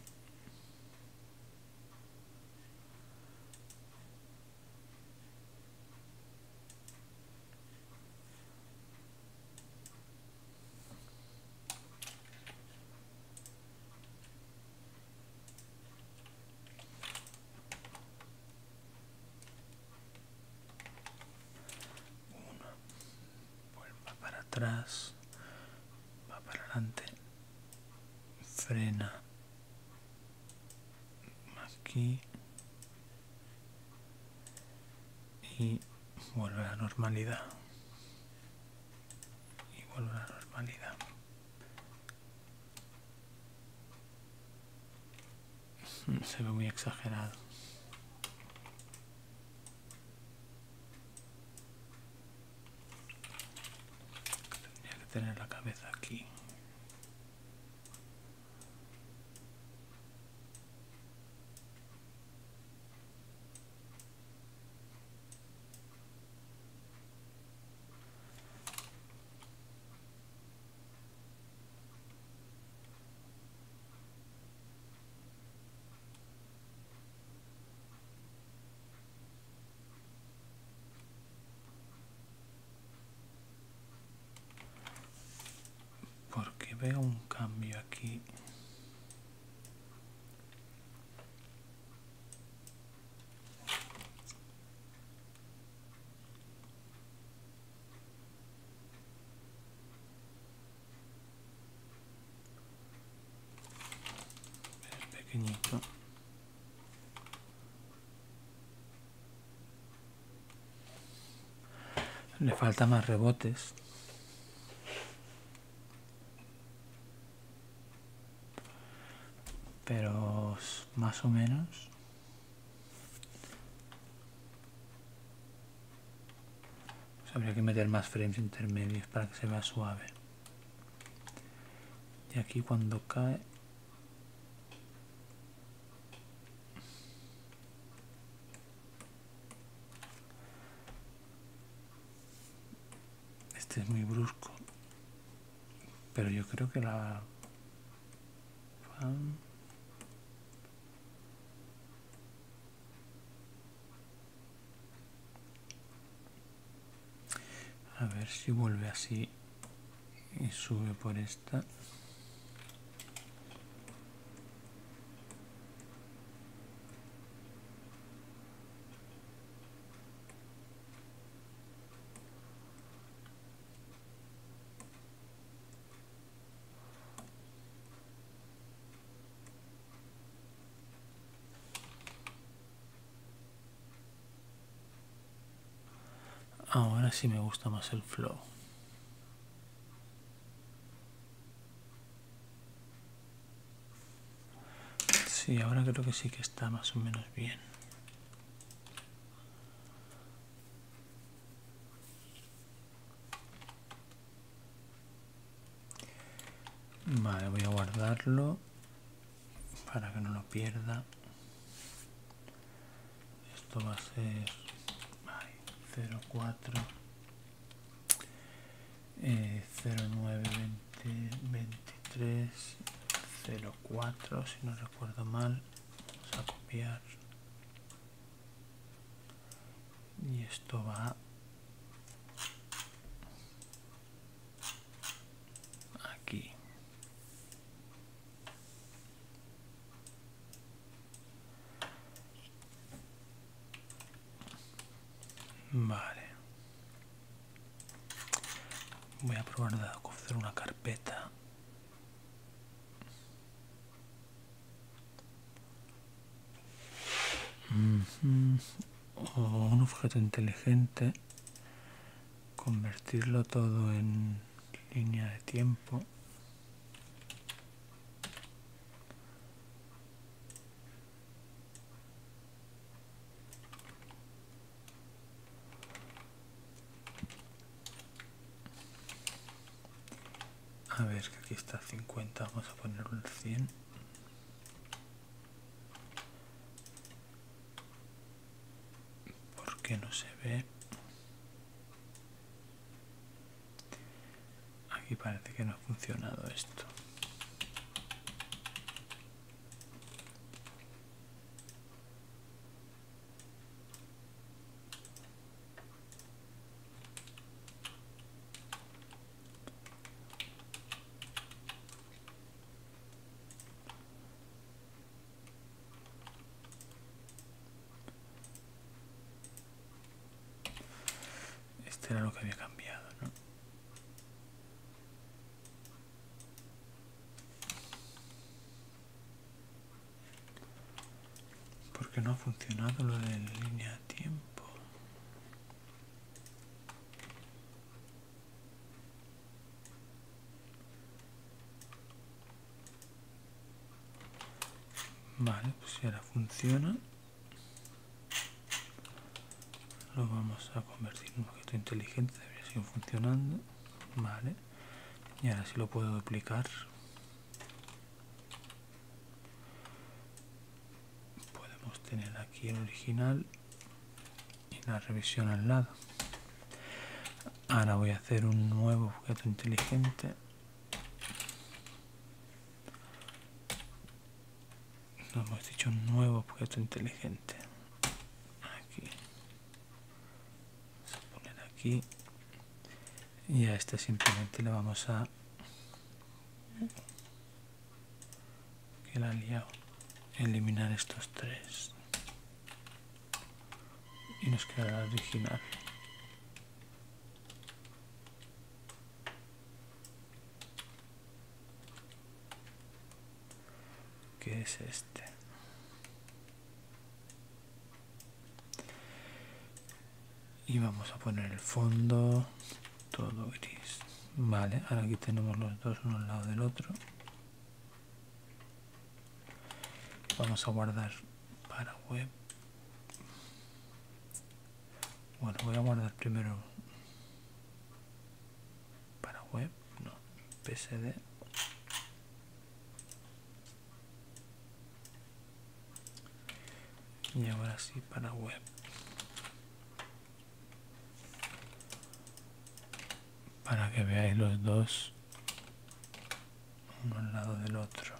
una vuelva para atrás va para adelante frena aquí y vuelve a la normalidad y vuelve a la normalidad Mm, se ve muy exagerado. Tendría que tener la cabeza aquí porque veo un cambio aquí pequeñito le falta más rebotes pero más o menos pues habría que meter más frames intermedios para que se vea suave. Y aquí cuando cae... Este es muy brusco. Pero yo creo que la a ver si vuelve así y sube por esta. Ahora sí me gusta más el flow. Sí, ahora creo que sí que está más o menos bien. Vale, voy a guardarlo para que no lo pierda. Esto va a ser 04 09 20, 23 04, si no recuerdo mal. Vamos a copiar y esto va aquí vale voy a probar de hacer una carpeta Mm-hmm. o oh, un objeto inteligente convertirlo todo en línea de tiempo a ver, que aquí está 50, vamos a poner un 100. Porque no se ve. Aquí parece que no ha funcionado esto. Este era lo que había cambiado, ¿no? porque no ha funcionado lo de línea a tiempo vale pues si ahora funciona lo vamos a convertir en un objeto inteligente debería seguir funcionando vale y ahora si sí lo puedo duplicar podemos tener aquí el original y la revisión al lado ahora voy a hacer un nuevo objeto inteligente Nos hemos dicho un nuevo objeto inteligente aquí poner aquí y a este simplemente le vamos a que la eliminar estos tres y nos quedará original que es este y vamos a poner el fondo todo gris vale ahora aquí tenemos los dos uno al lado del otro vamos a guardar para web bueno voy a guardar primero para web no psd y ahora sí para web para que veáis los dos uno al lado del otro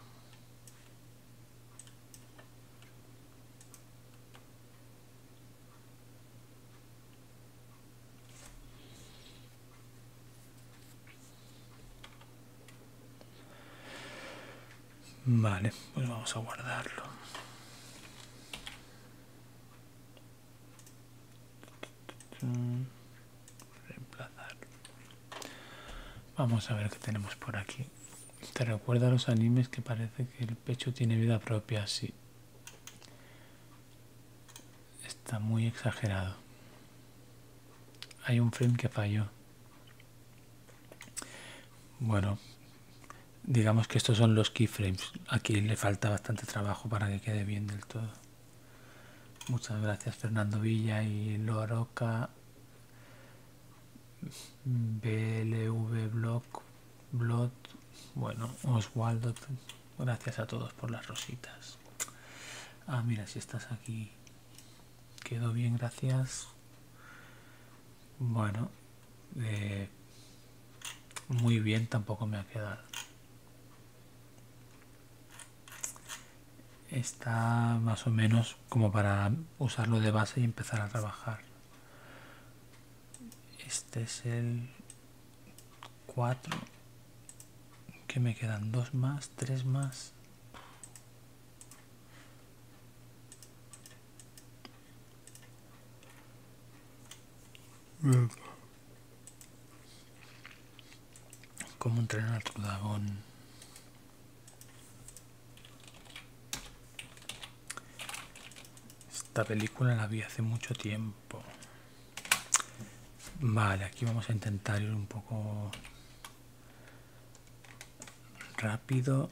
Vale, pues vamos a guardarlo. Reemplazar. Vamos a ver qué tenemos por aquí. ¿Te recuerda a los animes que parece que el pecho tiene vida propia? Sí. Está muy exagerado. Hay un frame que falló. Bueno, digamos que estos son los keyframes. Aquí le falta bastante trabajo para que quede bien del todo. Muchas gracias Fernando Villa y Loroca. BLV Blog, Blog, bueno, Oswaldo, gracias a todos por las rositas. Ah, mira, si estás aquí. Quedó bien, gracias. Bueno, eh, muy bien tampoco me ha quedado. Está más o menos como para usarlo de base y empezar a trabajar. Este es el 4. Que me quedan dos más, tres más como entrenar a tu dragón? Esta película la vi hace mucho tiempo. Vale, aquí vamos a intentar ir un poco rápido.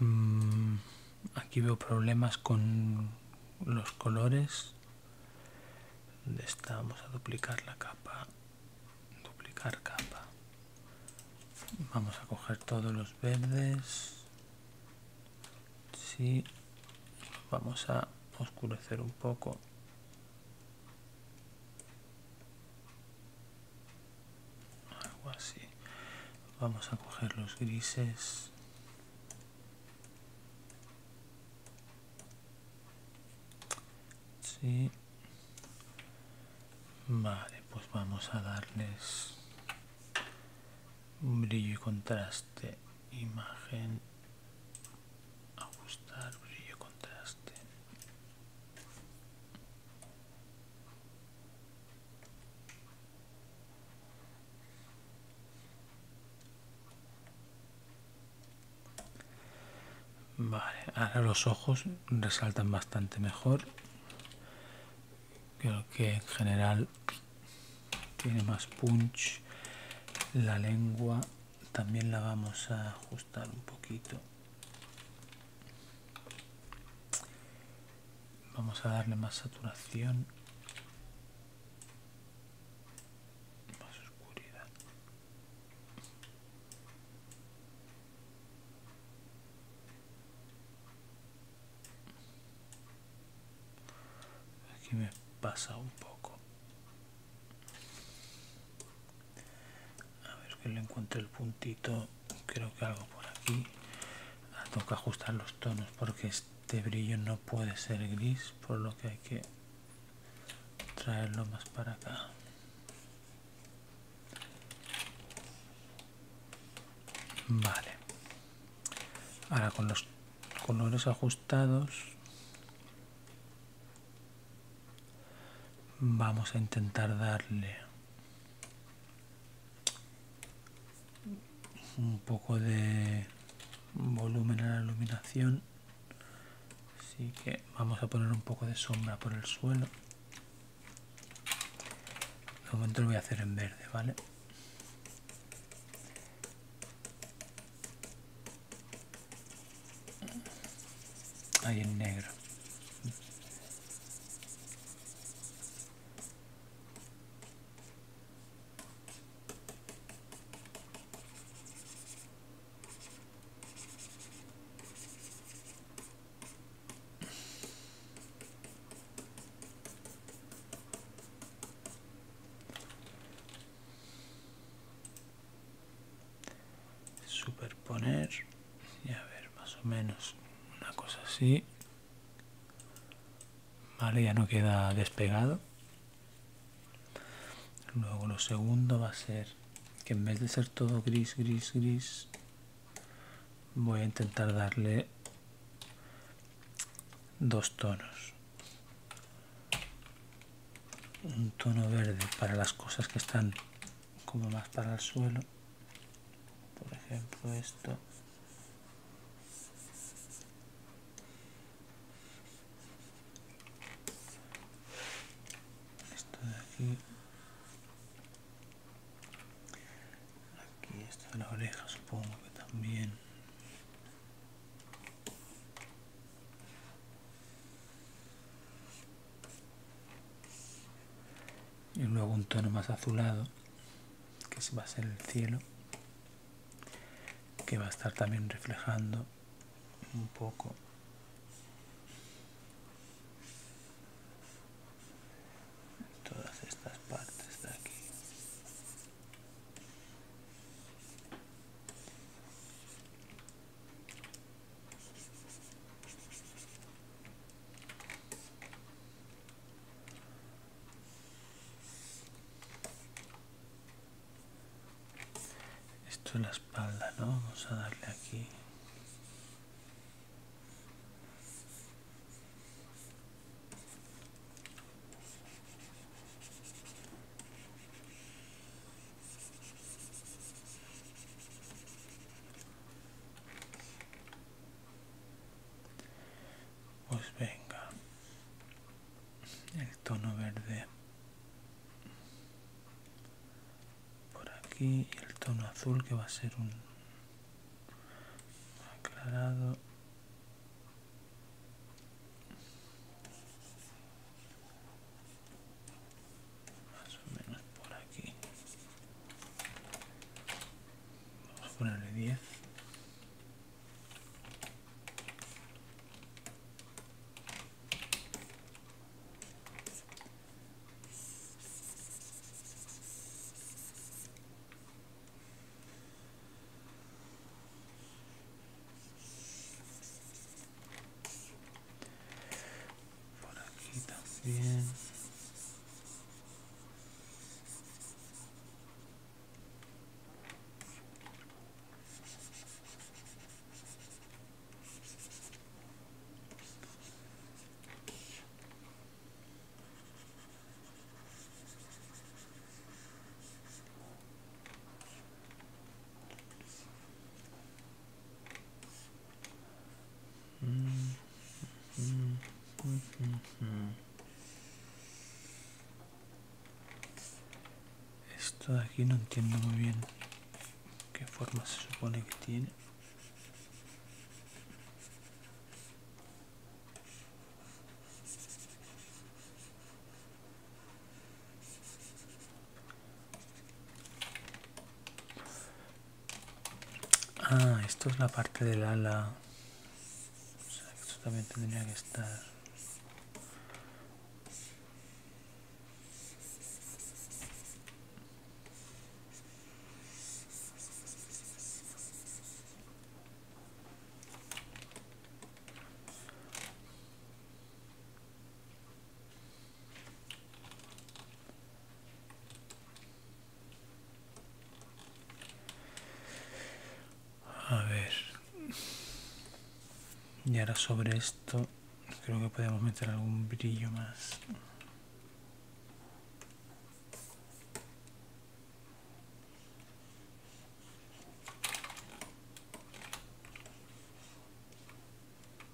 Mm, aquí veo problemas con los colores. está? Vamos a duplicar la capa. Duplicar capa. Vamos a coger todos los verdes. Sí. Vamos a oscurecer un poco algo así vamos a coger los grises sí vale pues vamos a darles un brillo y contraste imagen ajustar brillo contraste Vale, ahora los ojos resaltan bastante mejor. Creo que en general tiene más punch. La lengua también la vamos a ajustar un poquito vamos a darle más saturación más oscuridad aquí me pasa un poco a ver que le encuentre el puntito creo que algo por aquí ah, tengo que ajustar los tonos porque este brillo no puede ser gris por lo que hay que traerlo más para acá vale ahora con los colores ajustados Vamos a intentar darle un poco de volumen a la iluminación. Así que vamos a poner un poco de sombra por el suelo. De momento lo voy a hacer en verde, ¿vale? Hay en negro superponer y a ver más o menos una cosa así vale ya no queda despegado luego lo segundo va a ser que en vez de ser todo gris gris gris voy a intentar darle dos tonos un tono verde para las cosas que están como más para el suelo por ejemplo esto esto de aquí aquí esto de la oreja supongo que también y luego un tono más azulado que va a ser el cielo que va a estar también reflejando un poco todas estas partes de aquí esto es la espalda, ¿no? Vamos a darle aquí. Pues venga, el tono verde por aquí el tono azul que va a ser un aclarado más o menos por aquí vamos a ponerle 10 por aquí también esto de aquí no entiendo muy bien qué forma se supone que tiene. Ah, esto es la parte del ala. O esto también tendría que estar. A ver. Y ahora sobre esto creo que podemos meter algún brillo más.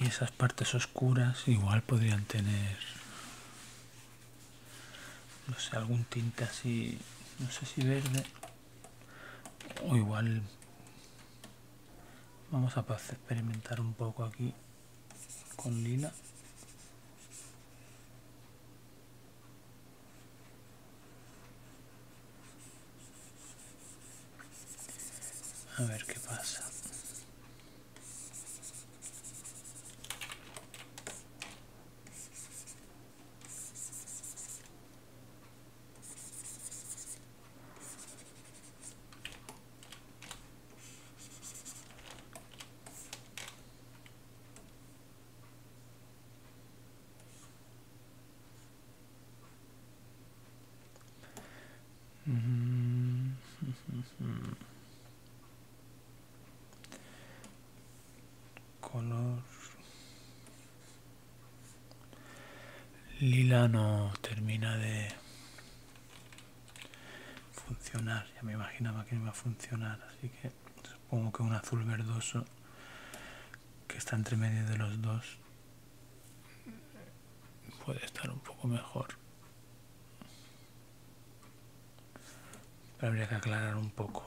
Y esas partes oscuras igual podrían tener, no sé, algún tinte así, no sé si verde, o igual vamos a experimentar un poco aquí con lila a ver qué pasa [LAUGHS] color lila no termina de funcionar. Ya me imaginaba que no iba a funcionar, así que supongo que un azul verdoso que está entre medio de los dos puede estar un poco mejor. Pero habría que aclarar un poco.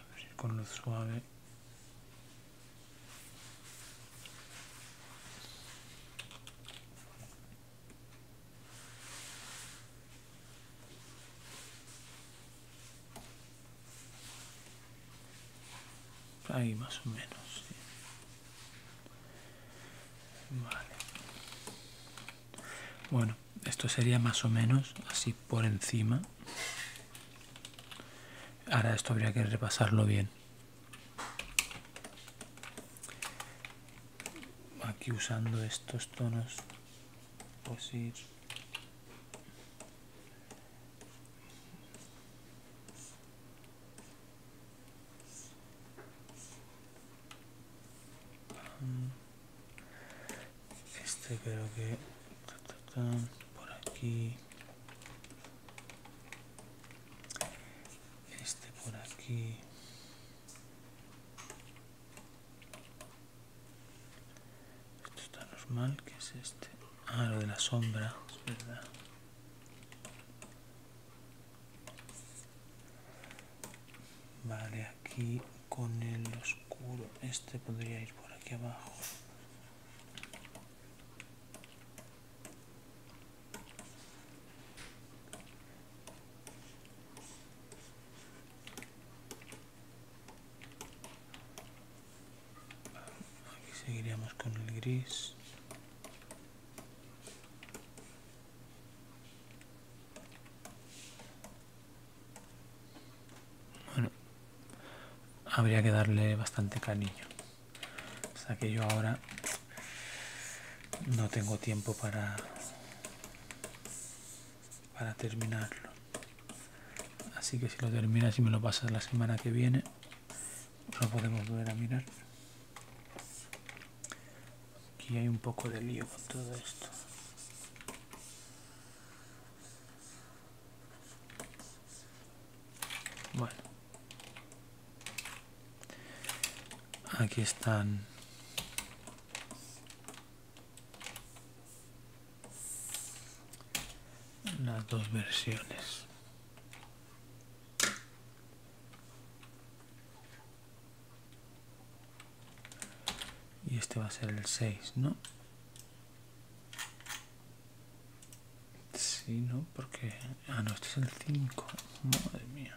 A ver si con luz suave Ahí más o menos. Bueno, esto sería más o menos así por encima. Ahora esto habría que repasarlo bien aquí usando estos tonos pues ir este creo que por aquí este por aquí esto está normal que es este ah lo de la sombra es verdad vale aquí con el oscuro este podría ir por aquí abajo Aquí seguiríamos con el gris. Bueno, habría que darle bastante cariño. O sea que yo ahora no tengo tiempo para para terminarlo. Así que si lo terminas y me lo pasas la semana que viene, lo podemos volver a mirar. Aquí hay un poco de lío con todo esto. Bueno. Aquí están. Las dos versiones. Y este va a ser el 6, ¿no? Sí, ¿no? Porque... Ah, no, este es el 5. Madre mía.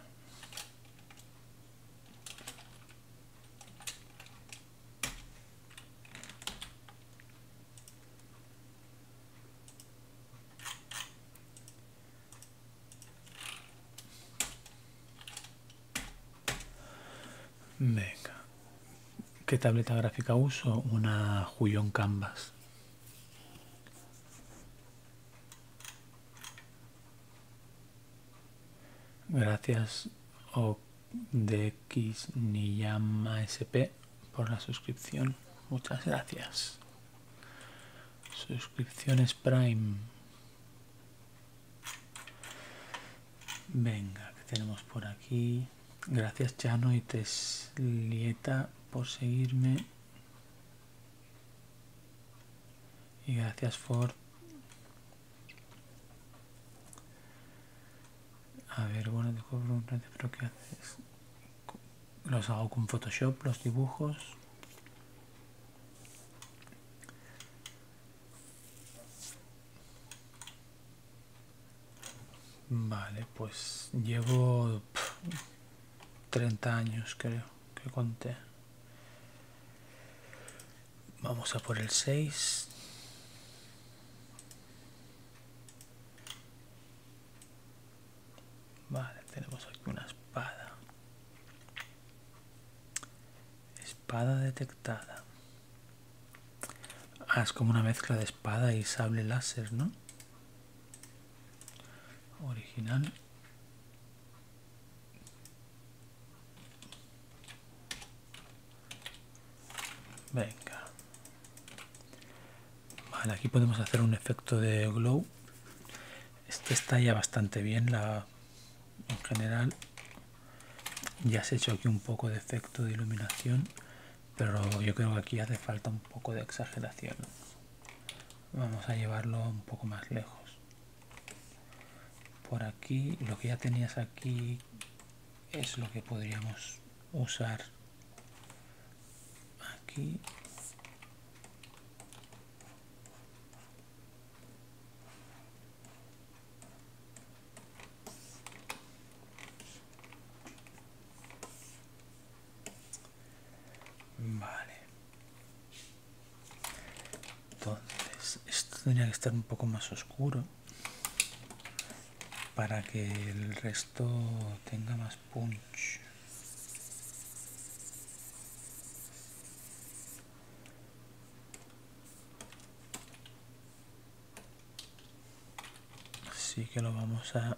Venga. ¿Qué tableta gráfica uso? Una Julion Canvas. Gracias o ni Niyama SP por la suscripción. Muchas gracias. Suscripciones Prime. Venga, que tenemos por aquí? Gracias Chano y Teslieta por seguirme. Y gracias por... A ver, bueno, te un preguntar, pero ¿qué haces? Los hago con Photoshop, los dibujos. Vale, pues llevo... 30 años creo que conté. Vamos a por el 6. Vale, tenemos aquí una espada. Espada detectada. Ah, es como una mezcla de espada y sable láser, ¿no? original venga vale aquí podemos hacer un efecto de glow este está ya bastante bien la en general ya se ha hecho aquí un poco de efecto de iluminación pero yo creo que aquí hace falta un poco de exageración vamos a llevarlo un poco más lejos por aquí lo que ya tenías aquí es lo que podríamos usar aquí Vale. Entonces, esto tenía que estar un poco más oscuro para que el resto tenga más punch. Así que lo vamos a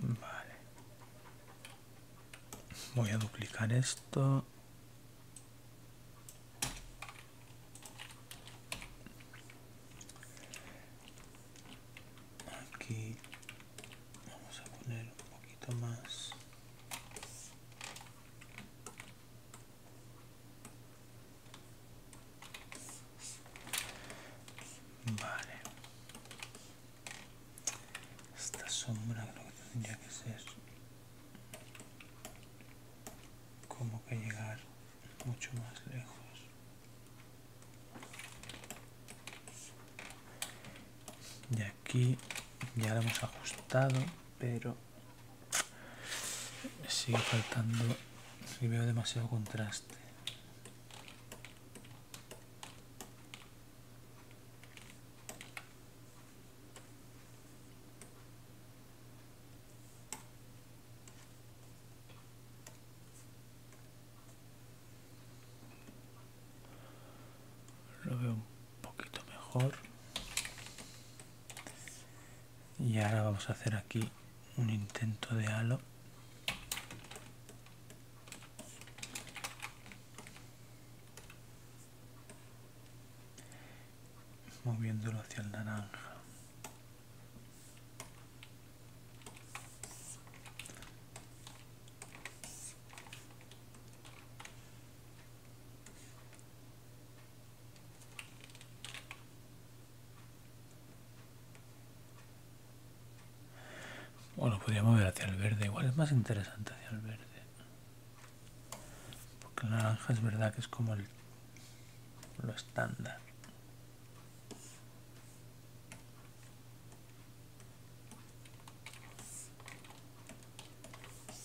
Vale. Voy a duplicar esto. Aquí vamos a poner un poquito más. Vale. Esta sombra creo que tendría que ser como que llegar mucho más lejos. Y aquí ya lo hemos ajustado, pero sigue faltando si veo demasiado contraste lo veo un poquito mejor y ahora vamos a hacer aquí un intento de halo moviéndolo hacia el naranja bueno, lo podríamos hacia el verde, igual es más interesante hacia el verde. Porque el naranja es verdad que es como el, lo estándar.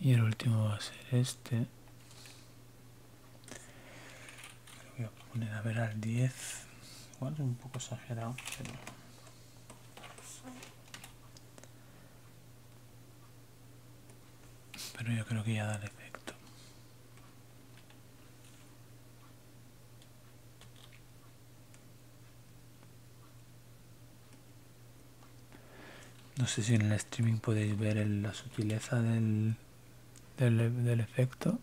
y el último va a ser este voy a poner a ver al 10 igual es un poco exagerado pero pero yo creo que ya da el efecto no sé si en el streaming podéis ver la sutileza e- del efecto.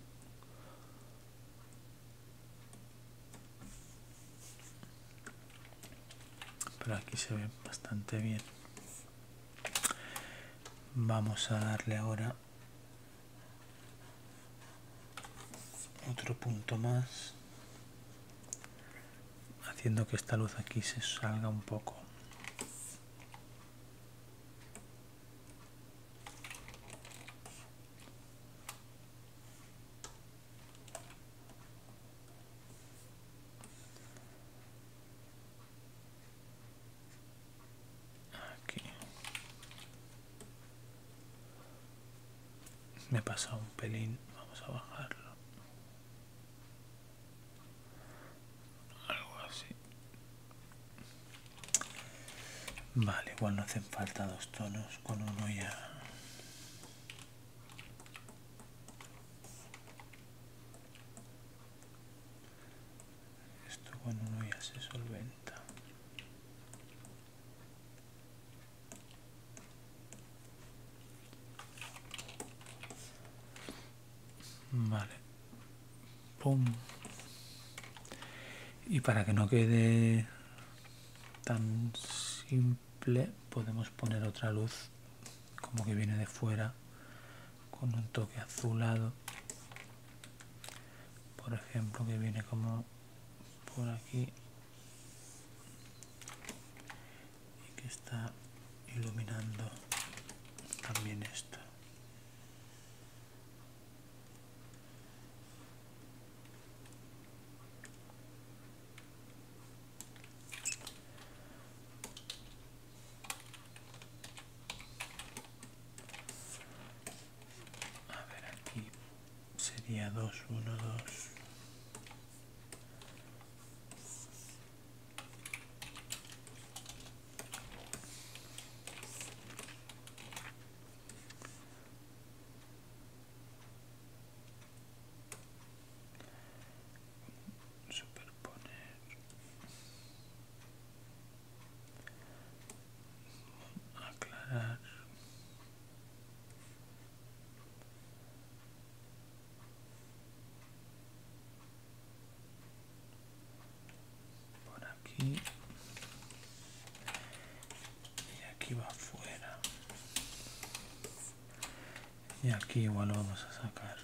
Pero aquí se ve bastante bien. Vamos a darle ahora otro punto más haciendo que esta luz aquí se salga un poco Aquí me he pasado un pelín vamos a bajarlo algo así vale igual no hacen falta dos tonos con uno ya esto con uno ya se solventa Vale. Pum. Y para que no quede tan simple, podemos poner otra luz como que viene de fuera con un toque azulado. Por ejemplo, que viene como por aquí y que está iluminando también esto a ver aquí sería 2, 1, 2. superponer aclarar por aquí y aquí va afuera y aquí igual lo vamos a sacar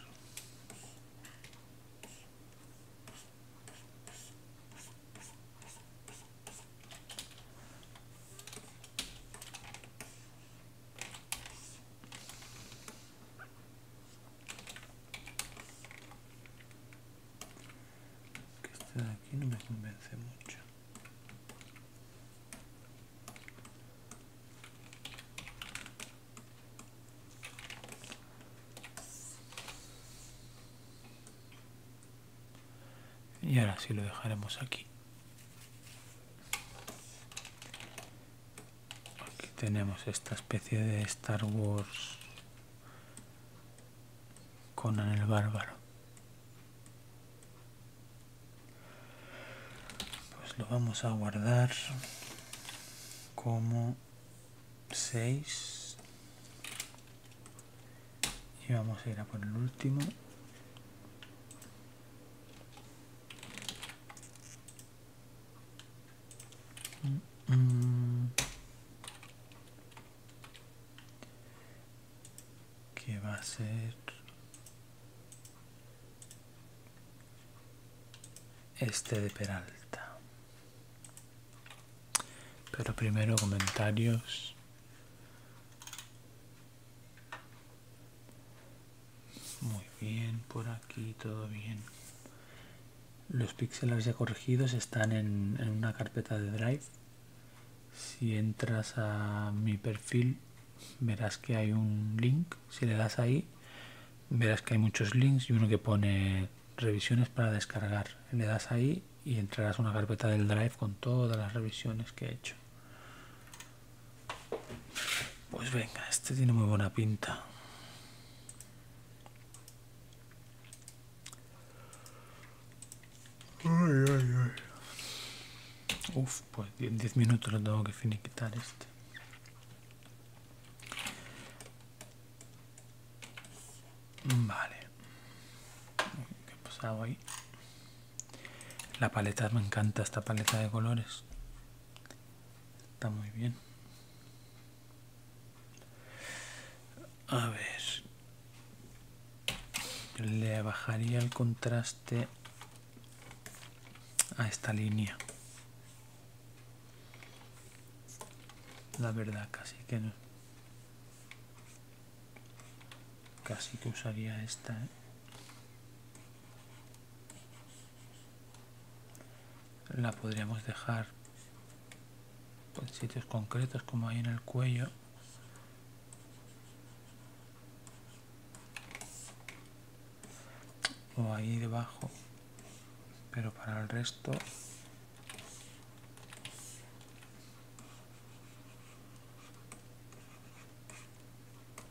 que este aquí no me convence mucho y ahora sí lo dejaremos aquí Aquí tenemos esta especie de Star Wars con el Bárbaro. Pues lo vamos a guardar como 6 y vamos a ir a por el último Mm. ¿Qué va a ser? Este de Peralta. Pero primero comentarios. Muy bien, por aquí todo bien. Los píxeles ya corregidos están en, una carpeta de Drive. Si entras a mi perfil, verás que hay un link. Si le das ahí, verás que hay muchos links y uno que pone revisiones para descargar. Le das ahí y entrarás a una carpeta del Drive con todas las revisiones que he hecho. Pues venga, este tiene muy buena pinta. uff, Uf, pues en 10 minutos lo tengo que finiquitar este. Vale. ¿Qué ha pasado ahí? La paleta, me encanta esta paleta de colores. Está muy bien. A ver. Le bajaría el contraste a esta línea. La verdad, casi que no. Casi que usaría esta, ¿eh? La podríamos dejar en sitios concretos como ahí en el cuello. O ahí debajo. Pero para el resto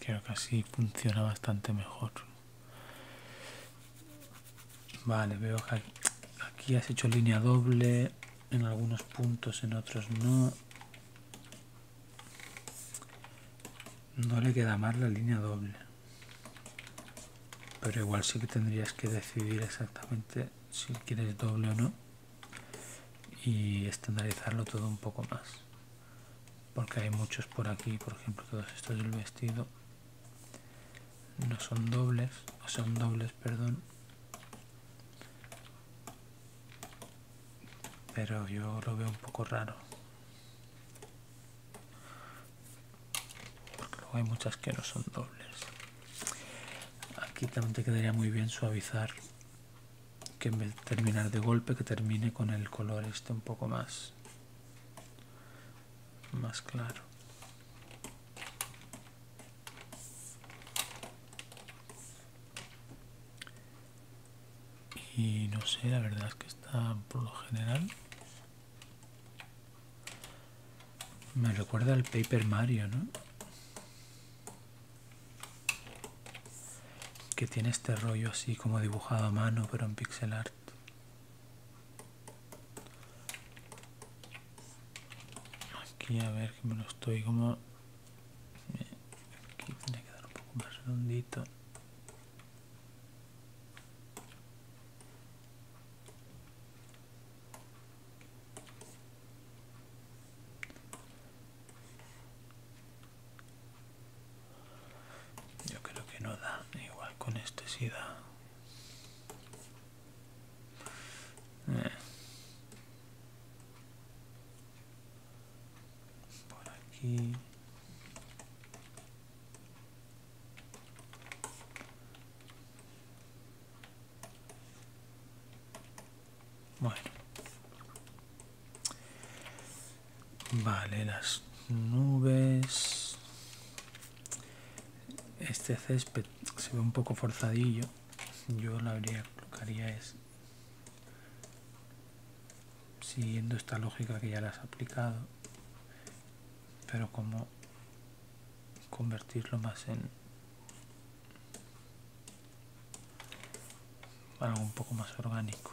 Creo que así funciona bastante mejor. Vale, veo que aquí has hecho línea doble en algunos puntos, en otros no. No le queda mal la línea doble. Pero igual sí que tendrías que decidir exactamente si quieres doble o no y estandarizarlo todo un poco más porque hay muchos por aquí por ejemplo todos estos del vestido no son dobles o son dobles perdón pero yo lo veo un poco raro porque luego hay muchas que no son dobles aquí también te quedaría muy bien suavizar que en vez de terminar de golpe que termine con el color este un poco más más claro y no sé la verdad es que está por lo general me recuerda al Paper Mario, ¿no? que tiene este rollo así como dibujado a mano pero en pixel art aquí a ver que me lo estoy como aquí tiene que dar un poco más redondito yo creo que no da, igual con este sí da. Eh. Por aquí. Bueno. Vale, las nubes. Este césped se ve un poco forzadillo. Yo lo habría, que es, siguiendo esta lógica que ya la has aplicado, pero como convertirlo más en algo un poco más orgánico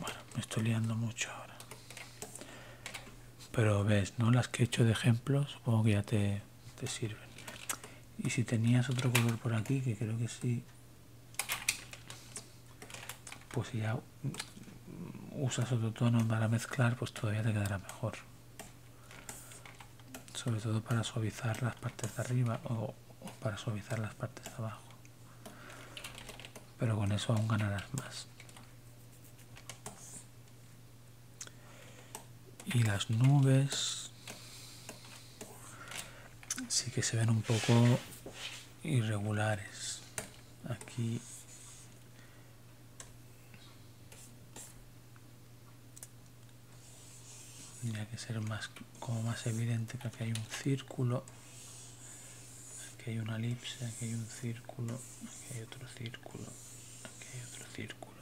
Bueno, me estoy liando mucho ahora. Pero ves, ¿no? Las que he hecho de ejemplo, supongo que ya te te sirven y si tenías otro color por aquí que creo que sí pues si ya usas otro tono para mezclar pues todavía te quedará mejor sobre todo para suavizar las partes de arriba o para suavizar las partes de abajo pero con eso aún ganarás más y las nubes sí que se ven un poco irregulares aquí tendría que ser más como más evidente que aquí hay un círculo aquí hay una elipse aquí hay un círculo aquí hay otro círculo aquí hay otro círculo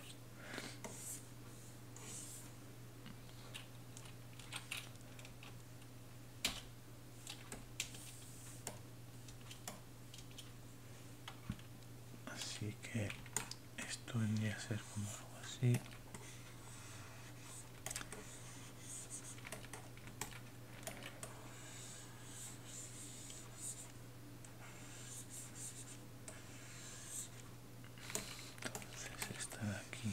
así que esto vendría a ser como algo así entonces esta de aquí.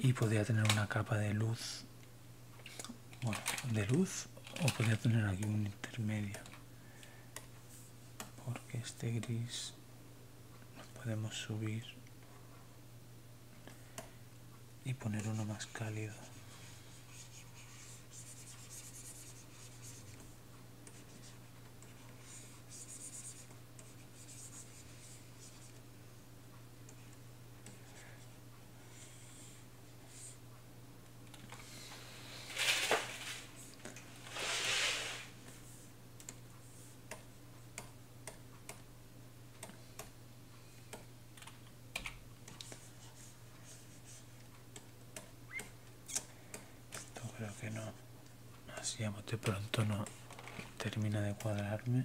y podría tener una capa de luz bueno, de luz o podría tener aquí un intermedio porque este gris lo podemos subir y poner uno más cálido esto creo que no, así de pronto no termina de cuadrarme.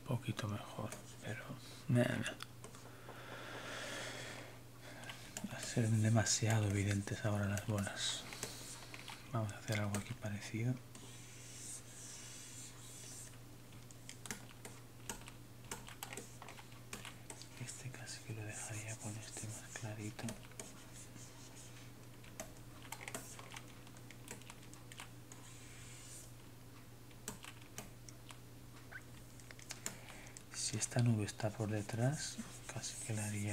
un poquito mejor, pero no Va a ser demasiado evidentes ahora las bolas. Vamos a hacer algo aquí parecido. Este casi que lo dejaría con este más clarito si esta nube está por detrás casi que la así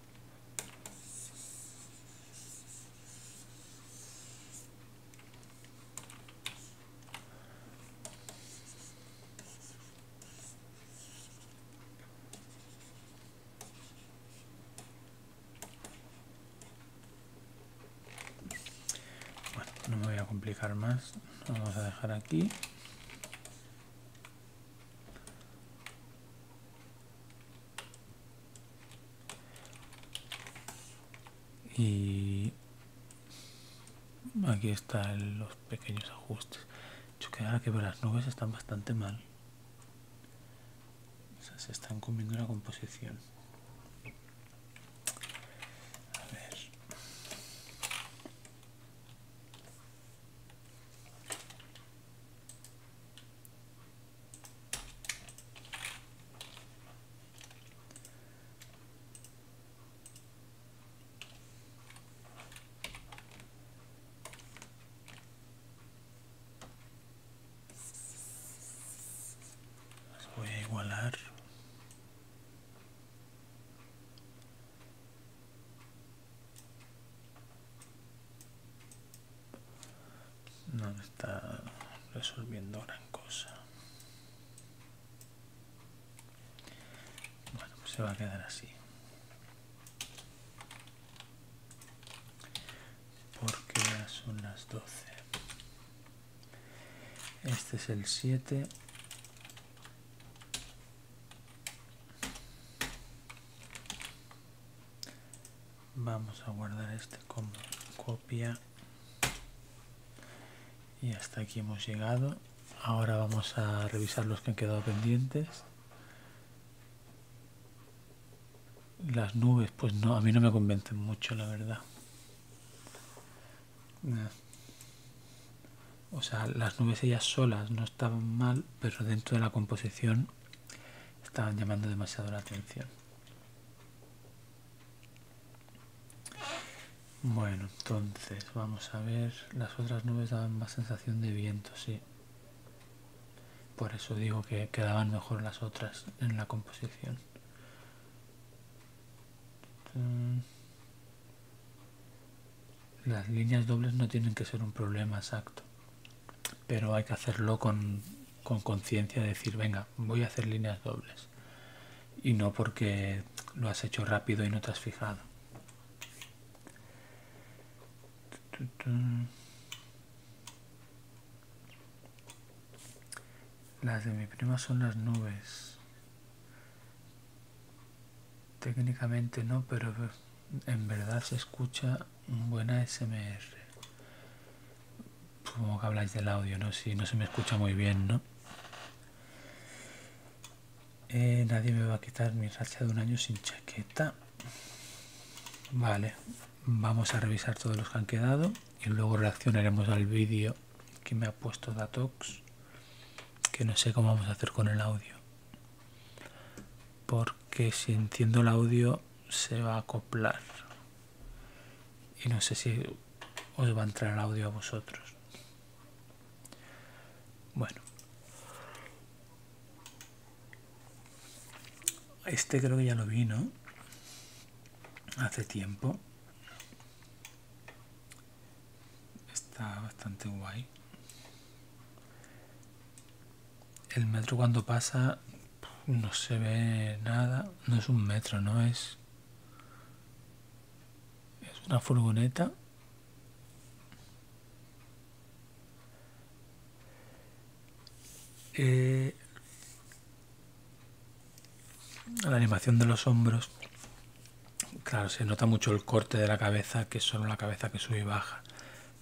no me voy a complicar más, vamos a dejar aquí y aquí están los pequeños ajustes Yo que, ahora que las nubes están bastante mal se están comiendo la composición a ver voy a igualar no está resolviendo gran cosa bueno pues se va a quedar así porque son las 12 este es el siete vamos a guardar este como copia y hasta aquí hemos llegado ahora vamos a revisar los que han quedado pendientes las nubes pues no a mí no me convencen mucho la verdad o sea las nubes ellas solas no estaban mal pero dentro de la composición estaban llamando demasiado la atención bueno, entonces vamos a ver, las otras nubes daban más sensación de viento, sí. Por eso digo que quedaban mejor las otras en la composición. Las líneas dobles no tienen que ser un problema exacto pero hay que hacerlo con conciencia, decir, venga, voy a hacer líneas dobles y no porque lo has hecho rápido y no te has fijado. Las de mi prima son las nubes. Técnicamente no, pero en verdad se escucha buena, SMR. Supongo que habláis del audio, ¿no? Si no se me escucha muy bien, ¿no? Eh, nadie me va a quitar mi racha de un año sin chaqueta. Vale, vamos a revisar todos los que han quedado y luego reaccionaremos al vídeo que me ha puesto Datox, que no sé cómo vamos a hacer con el audio. Porque si entiendo el audio se va a acoplar. Y no sé si os va a entrar el audio a vosotros. Bueno. Este creo que ya lo vino Hace tiempo. Está bastante guay. El metro cuando pasa no se ve nada. No es un metro, no es. Es una furgoneta. Eh, la animación de los hombros. Claro, se nota mucho el corte de la cabeza, que es solo la cabeza que sube y baja.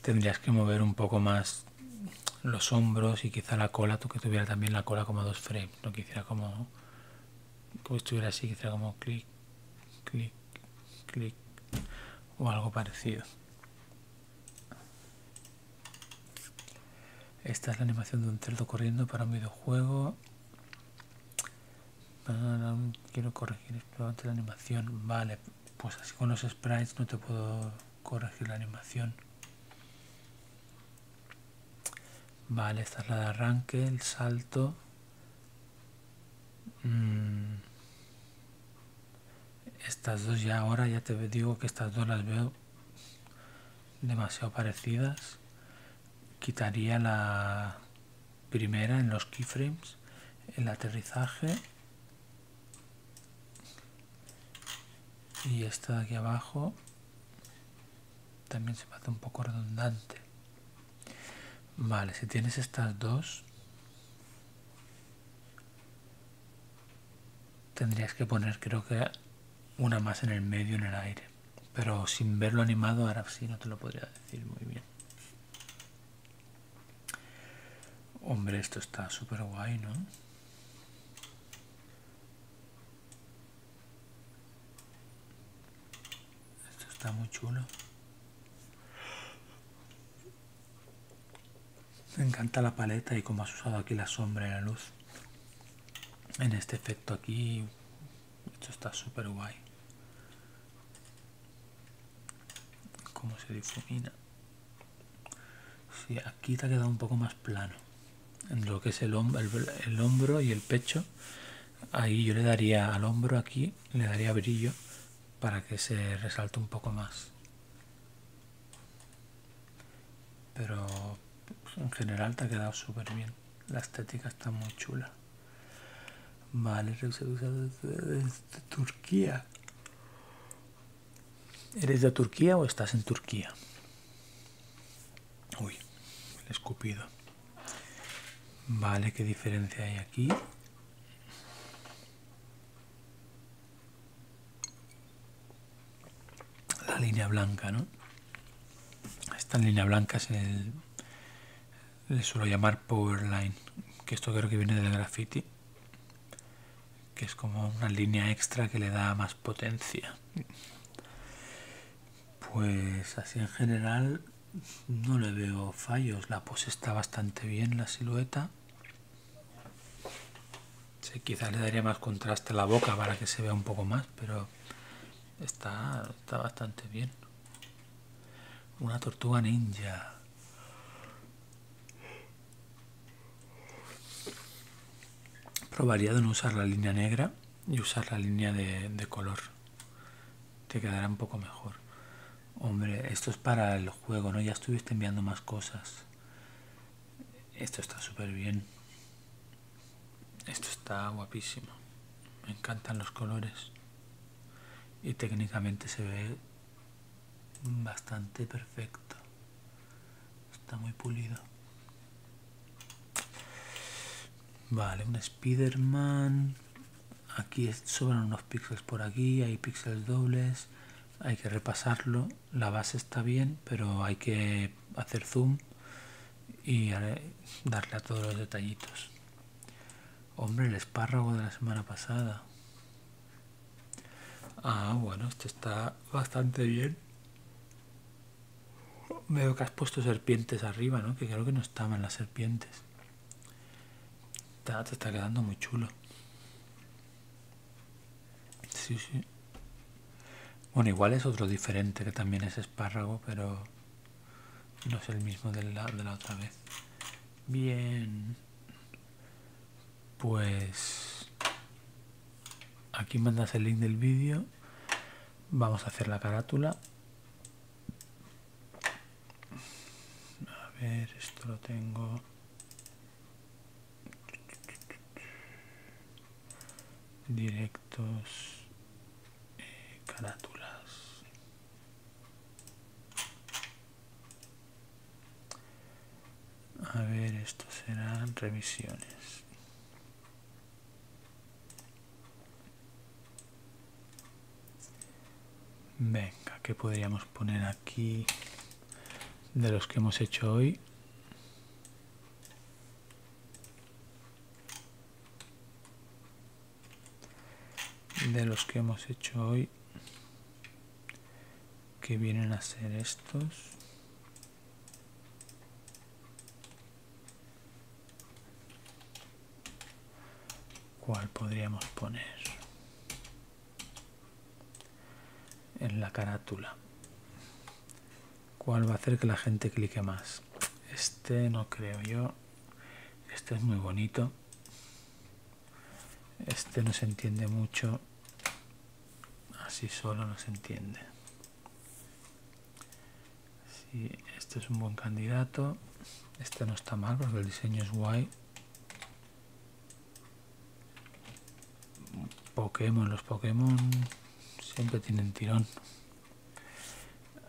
Tendrías que mover un poco más los hombros y quizá la cola, tú que tuviera también la cola como dos frames, no que hiciera como, como estuviera así, que hiciera como clic, clic, clic o algo parecido. Esta es la animación de un cerdo corriendo para un videojuego. Quiero corregir la animación. Vale, pues así con los sprites no te puedo corregir la animación. Vale, esta es la de arranque, el salto. Mm. Estas dos ya ahora, ya te digo que estas dos las veo demasiado parecidas. Quitaría la primera en los keyframes, el aterrizaje y esta de aquí abajo también se me hace un poco redundante vale si tienes estas dos tendrías que poner creo que una más en el medio en el aire pero sin verlo animado ahora sí no te lo podría decir muy bien hombre esto está súper guay no esto está muy chulo. Me encanta la paleta y cómo has usado aquí la sombra y la luz. En este efecto aquí, esto está súper guay. Cómo se difumina aquí te ha quedado un poco más plano. En lo que es el, hombro el, hombro y el pecho. Ahí yo le daría al hombro aquí, le daría brillo para que se resalte un poco más. Pero pues, en general te ha quedado súper bien. La estética está muy chula. Vale, usa desde Turquía. ¿Eres de Turquía o estás en Turquía? Uy, el escupido. Vale, ¿qué diferencia hay aquí? La línea blanca, ¿no? Esta línea blanca es el... Le suelo llamar power line, que esto creo que viene del graffiti que es como una línea extra que le da más potencia. Pues así en general no le veo fallos, la pose está bastante bien, la silueta. Sí, quizás le daría más contraste a la boca para que se vea un poco más, pero está, está bastante bien. Una tortuga ninja. Probaría de no usar la línea negra y usar la línea de, color. Te quedará un poco mejor. Hombre, esto es para el juego, ¿no? Ya estuviste enviando más cosas. Esto está súper bien. Esto está guapísimo. Me encantan los colores. Y técnicamente se ve bastante perfecto. Está muy pulido. Vale, un Spiderman. Aquí sobran unos píxeles por aquí, hay píxeles dobles. Hay que repasarlo. La base está bien, pero hay que hacer zoom y eh, darle a todos los detallitos. Hombre, el espárrago de la semana pasada. Ah, bueno, este está bastante bien. Veo que has puesto serpientes arriba, ¿no? Que creo que no estaban las serpientes. Está, te está quedando muy chulo. Sí, sí. Bueno, igual es otro diferente, que también es espárrago, pero no es el mismo de de la otra vez. Bien pues aquí mandas el link del vídeo vamos a hacer la carátula a ver esto lo tengo directos eh, carátulas a ver, esto serán revisiones. Venga, ¿qué podríamos poner aquí de los que hemos hecho hoy? De los que hemos hecho hoy, que vienen a ser estos. ¿Cuál podríamos poner? En la carátula. ¿Cuál va a hacer que la gente clique más? Este no creo yo. Este es muy bonito. Este no se entiende mucho. Así solo no se entiende. Sí, este es un buen candidato. Este no está mal porque el diseño es guay. Pokémon, los Pokémon siempre tienen tirón.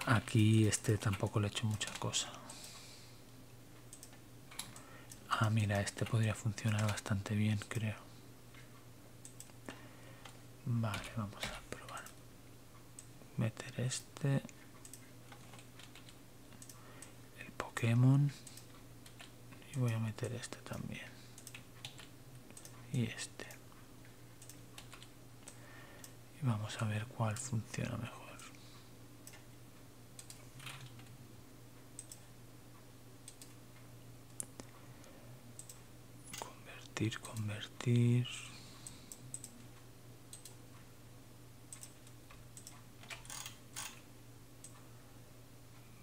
Aquí este tampoco le he hecho mucha cosa. Ah, mira, este podría funcionar bastante bien, creo. Vale, vamos a probar. Meter este. El Pokémon. Y voy a meter este también. Y este. Y vamos a ver cuál funciona mejor. Convertir, convertir.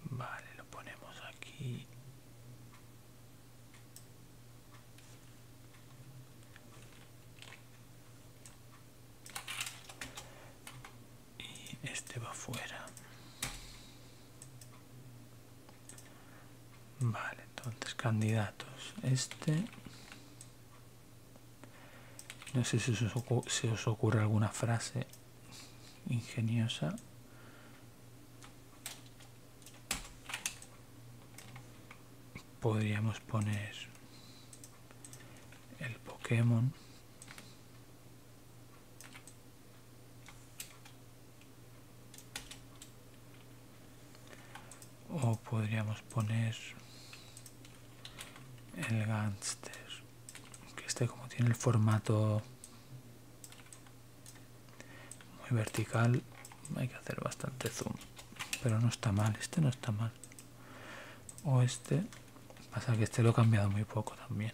Vale, lo ponemos aquí. Y este va fuera. Vale, entonces candidatos. Este. No sé si os, ocurre, os ocurre alguna frase ingeniosa. Podríamos poner el Pokémon o podríamos poner el gangster que este como tiene el formato muy vertical hay que hacer bastante zoom pero no está mal este no está mal o este pasa que este lo he cambiado muy poco también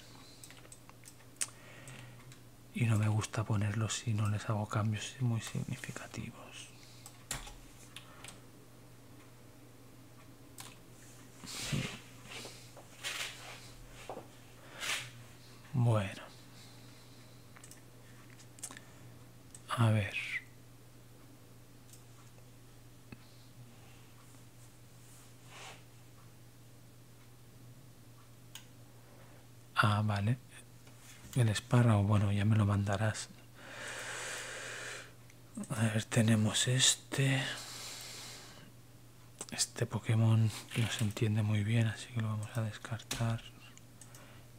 y no me gusta ponerlos si no les hago cambios muy significativos bueno a ver Ah, vale. El o bueno, ya me lo mandarás. A ver, tenemos este. Este Pokémon no se entiende muy bien, así que lo vamos a descartar.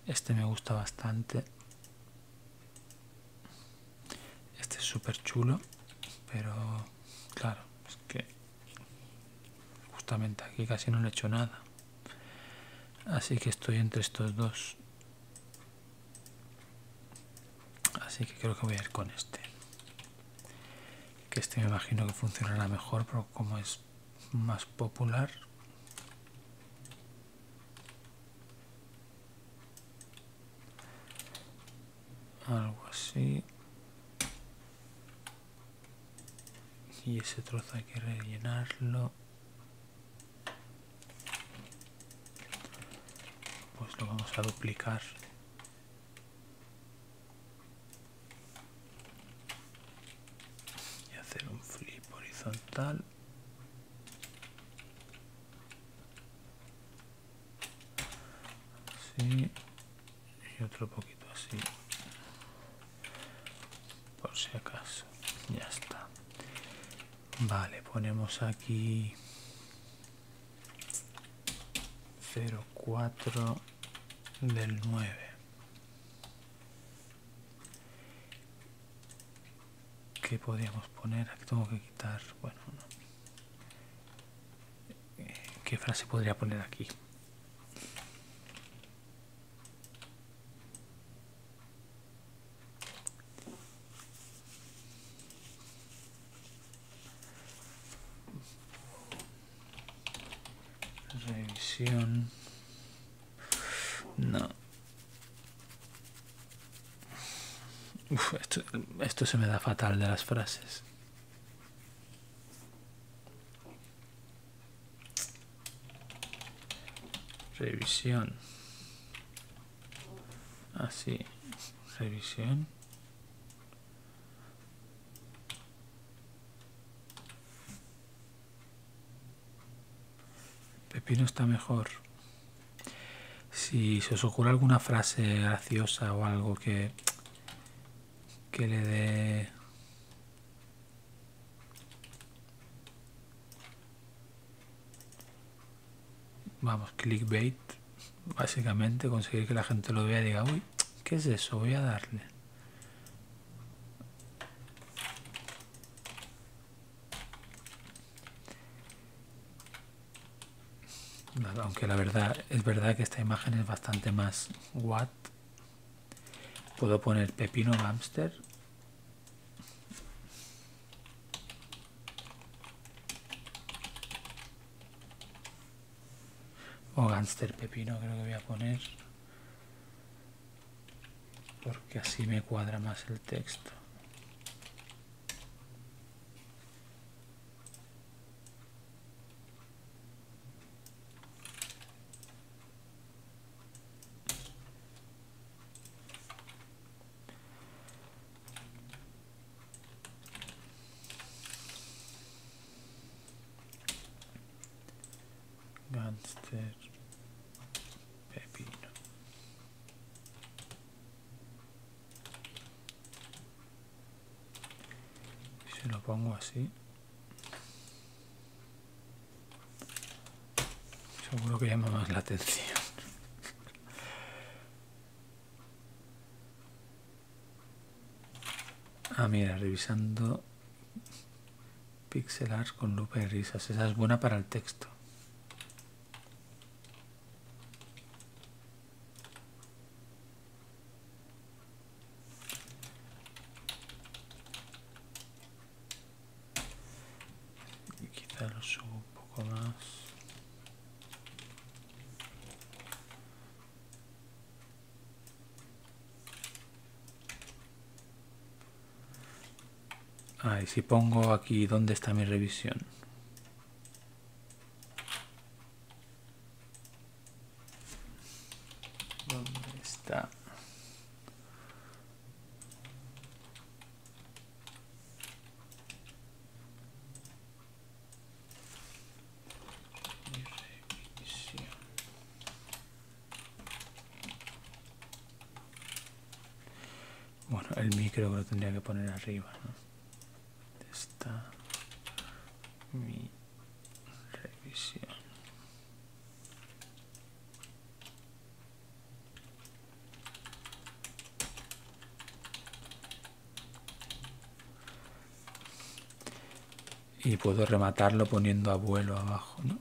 Este me gusta bastante. Este es súper chulo, pero claro, es que justamente aquí casi no le he hecho nada así que estoy entre estos dos así que creo que voy a ir con este que este me imagino que funcionará mejor pero como es más popular algo así y ese trozo hay que rellenarlo pues lo vamos a duplicar y hacer un flip horizontal y otro poquito así por si acaso ya está vale ponemos aquí 04 del 9 que podríamos poner aquí tengo que quitar bueno eh, qué frase podría poner aquí Revisión. No. esto se me da fatal de las frases. Revisión. Así. Ah, Revisión. Pepino está mejor. Si se os ocurre alguna frase graciosa o algo que, que le dé Vamos, clickbait. Básicamente conseguir que la gente lo vea y diga, uy, ¿qué es eso? Voy a darle. aunque la verdad es verdad que esta imagen es bastante más what Puedo poner pepino hamster. O gánster pepino creo que voy a poner. Porque así me cuadra más el texto. Gánster Pepino se lo pongo así seguro que llama más la atención [LAUGHS] ah mira revisando pixel art con lupa y risas esa es buena para el texto y quizá lo subo un poco más Ah, y si pongo aquí dónde está mi revisión. ¿Dónde está? Bueno, el micro lo tendría que poner arriba, ¿no? Está mi Revisión. Y puedo rematarlo poniendo abuelo abajo, ¿no?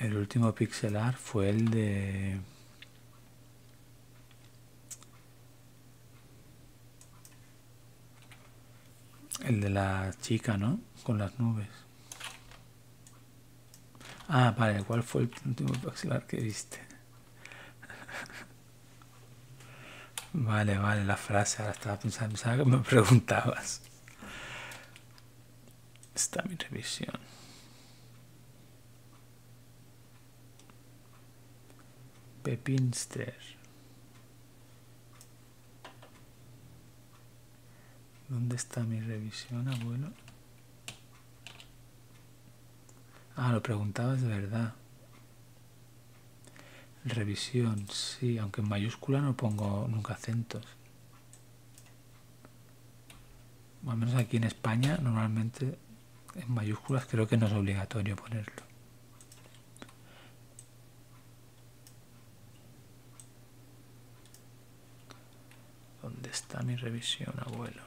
el último pixelar fue el de el de la chica, ¿no? Con las nubes. Ah, vale, ¿cuál fue el último pixelar que viste? [LAUGHS] vale, vale, la frase, ahora estaba pensando, que me [LAUGHS] preguntabas. Está mi revisión. Pepinster. ¿Dónde está mi revisión, abuelo? Ah, lo preguntabas de verdad. Revisión, sí, aunque en mayúscula no pongo nunca acentos. o menos aquí en España normalmente en mayúsculas creo que no es obligatorio ponerlo. ¿Dónde está mi revisión, abuelo?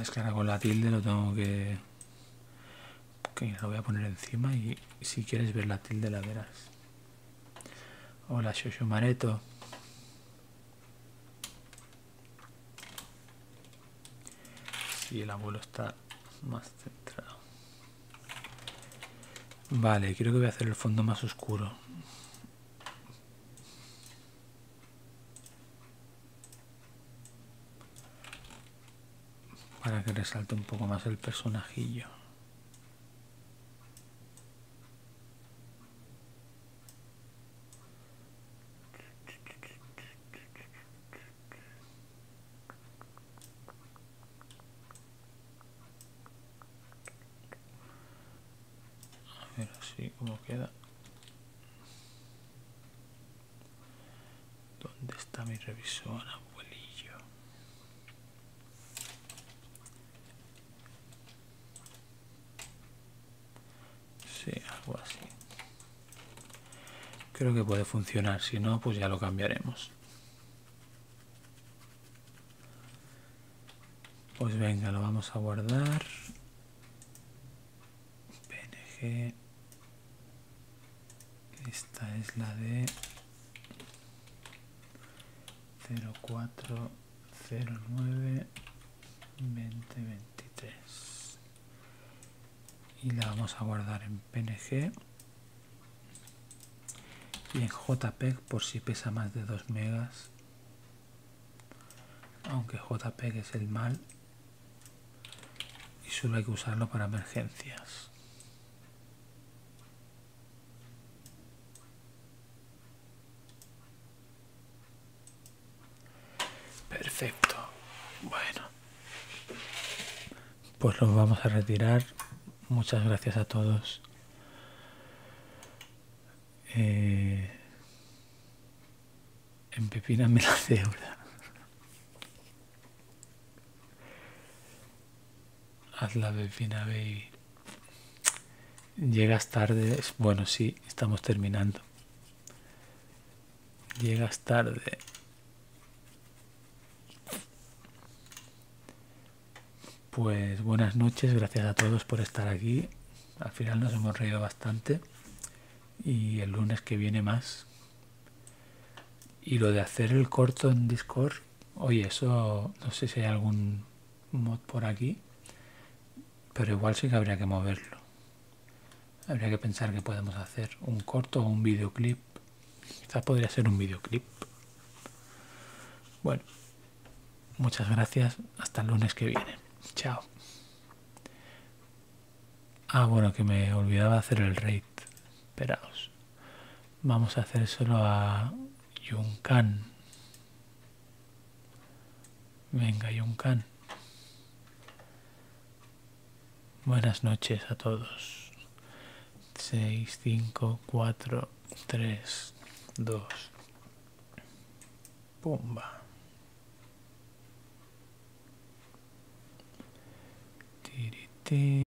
Es que ahora con la tilde lo tengo que que la voy a poner encima y si quieres ver la tilde la verás. Hola Shoshomareto. Si el abuelo está más centrado. Vale, creo que voy a hacer el fondo más oscuro para que resalte un poco más el personajillo. A ver así como queda ¿Dónde está mi revisor, abuelillo? Sí, algo así. Creo que puede funcionar, si no, pues ya lo cambiaremos. Pues venga, lo vamos a guardar. PNG esta es la de 0409 2023 y la vamos a guardar en png y en jpeg por si pesa más de 2 megas aunque jpeg es el mal y solo hay que usarlo para emergencias Perfecto. Bueno. Pues los vamos a retirar. Muchas gracias a todos. Eh, me la cebra. Haz la delfina, baby. Llegas tarde. Bueno, sí, estamos terminando. Llegas tarde. Pues buenas noches, gracias a todos por estar aquí. Al final nos hemos reído bastante. Y el lunes que viene más. Y lo de hacer el corto en Discord Oye, eso no sé si hay algún mod por aquí, pero igual sí que habría que moverlo. Habría que pensar que podemos hacer un corto o un videoclip. Quizás podría ser un videoclip. Bueno, muchas gracias. Hasta el lunes que viene. Chao. Ah, bueno, que me olvidaba hacer el raid. Esperaos vamos a hacer solo a Yunkan. Venga, Yunkan. Buenas noches a todos. 6, 5, 4, 3, 2. Pumba.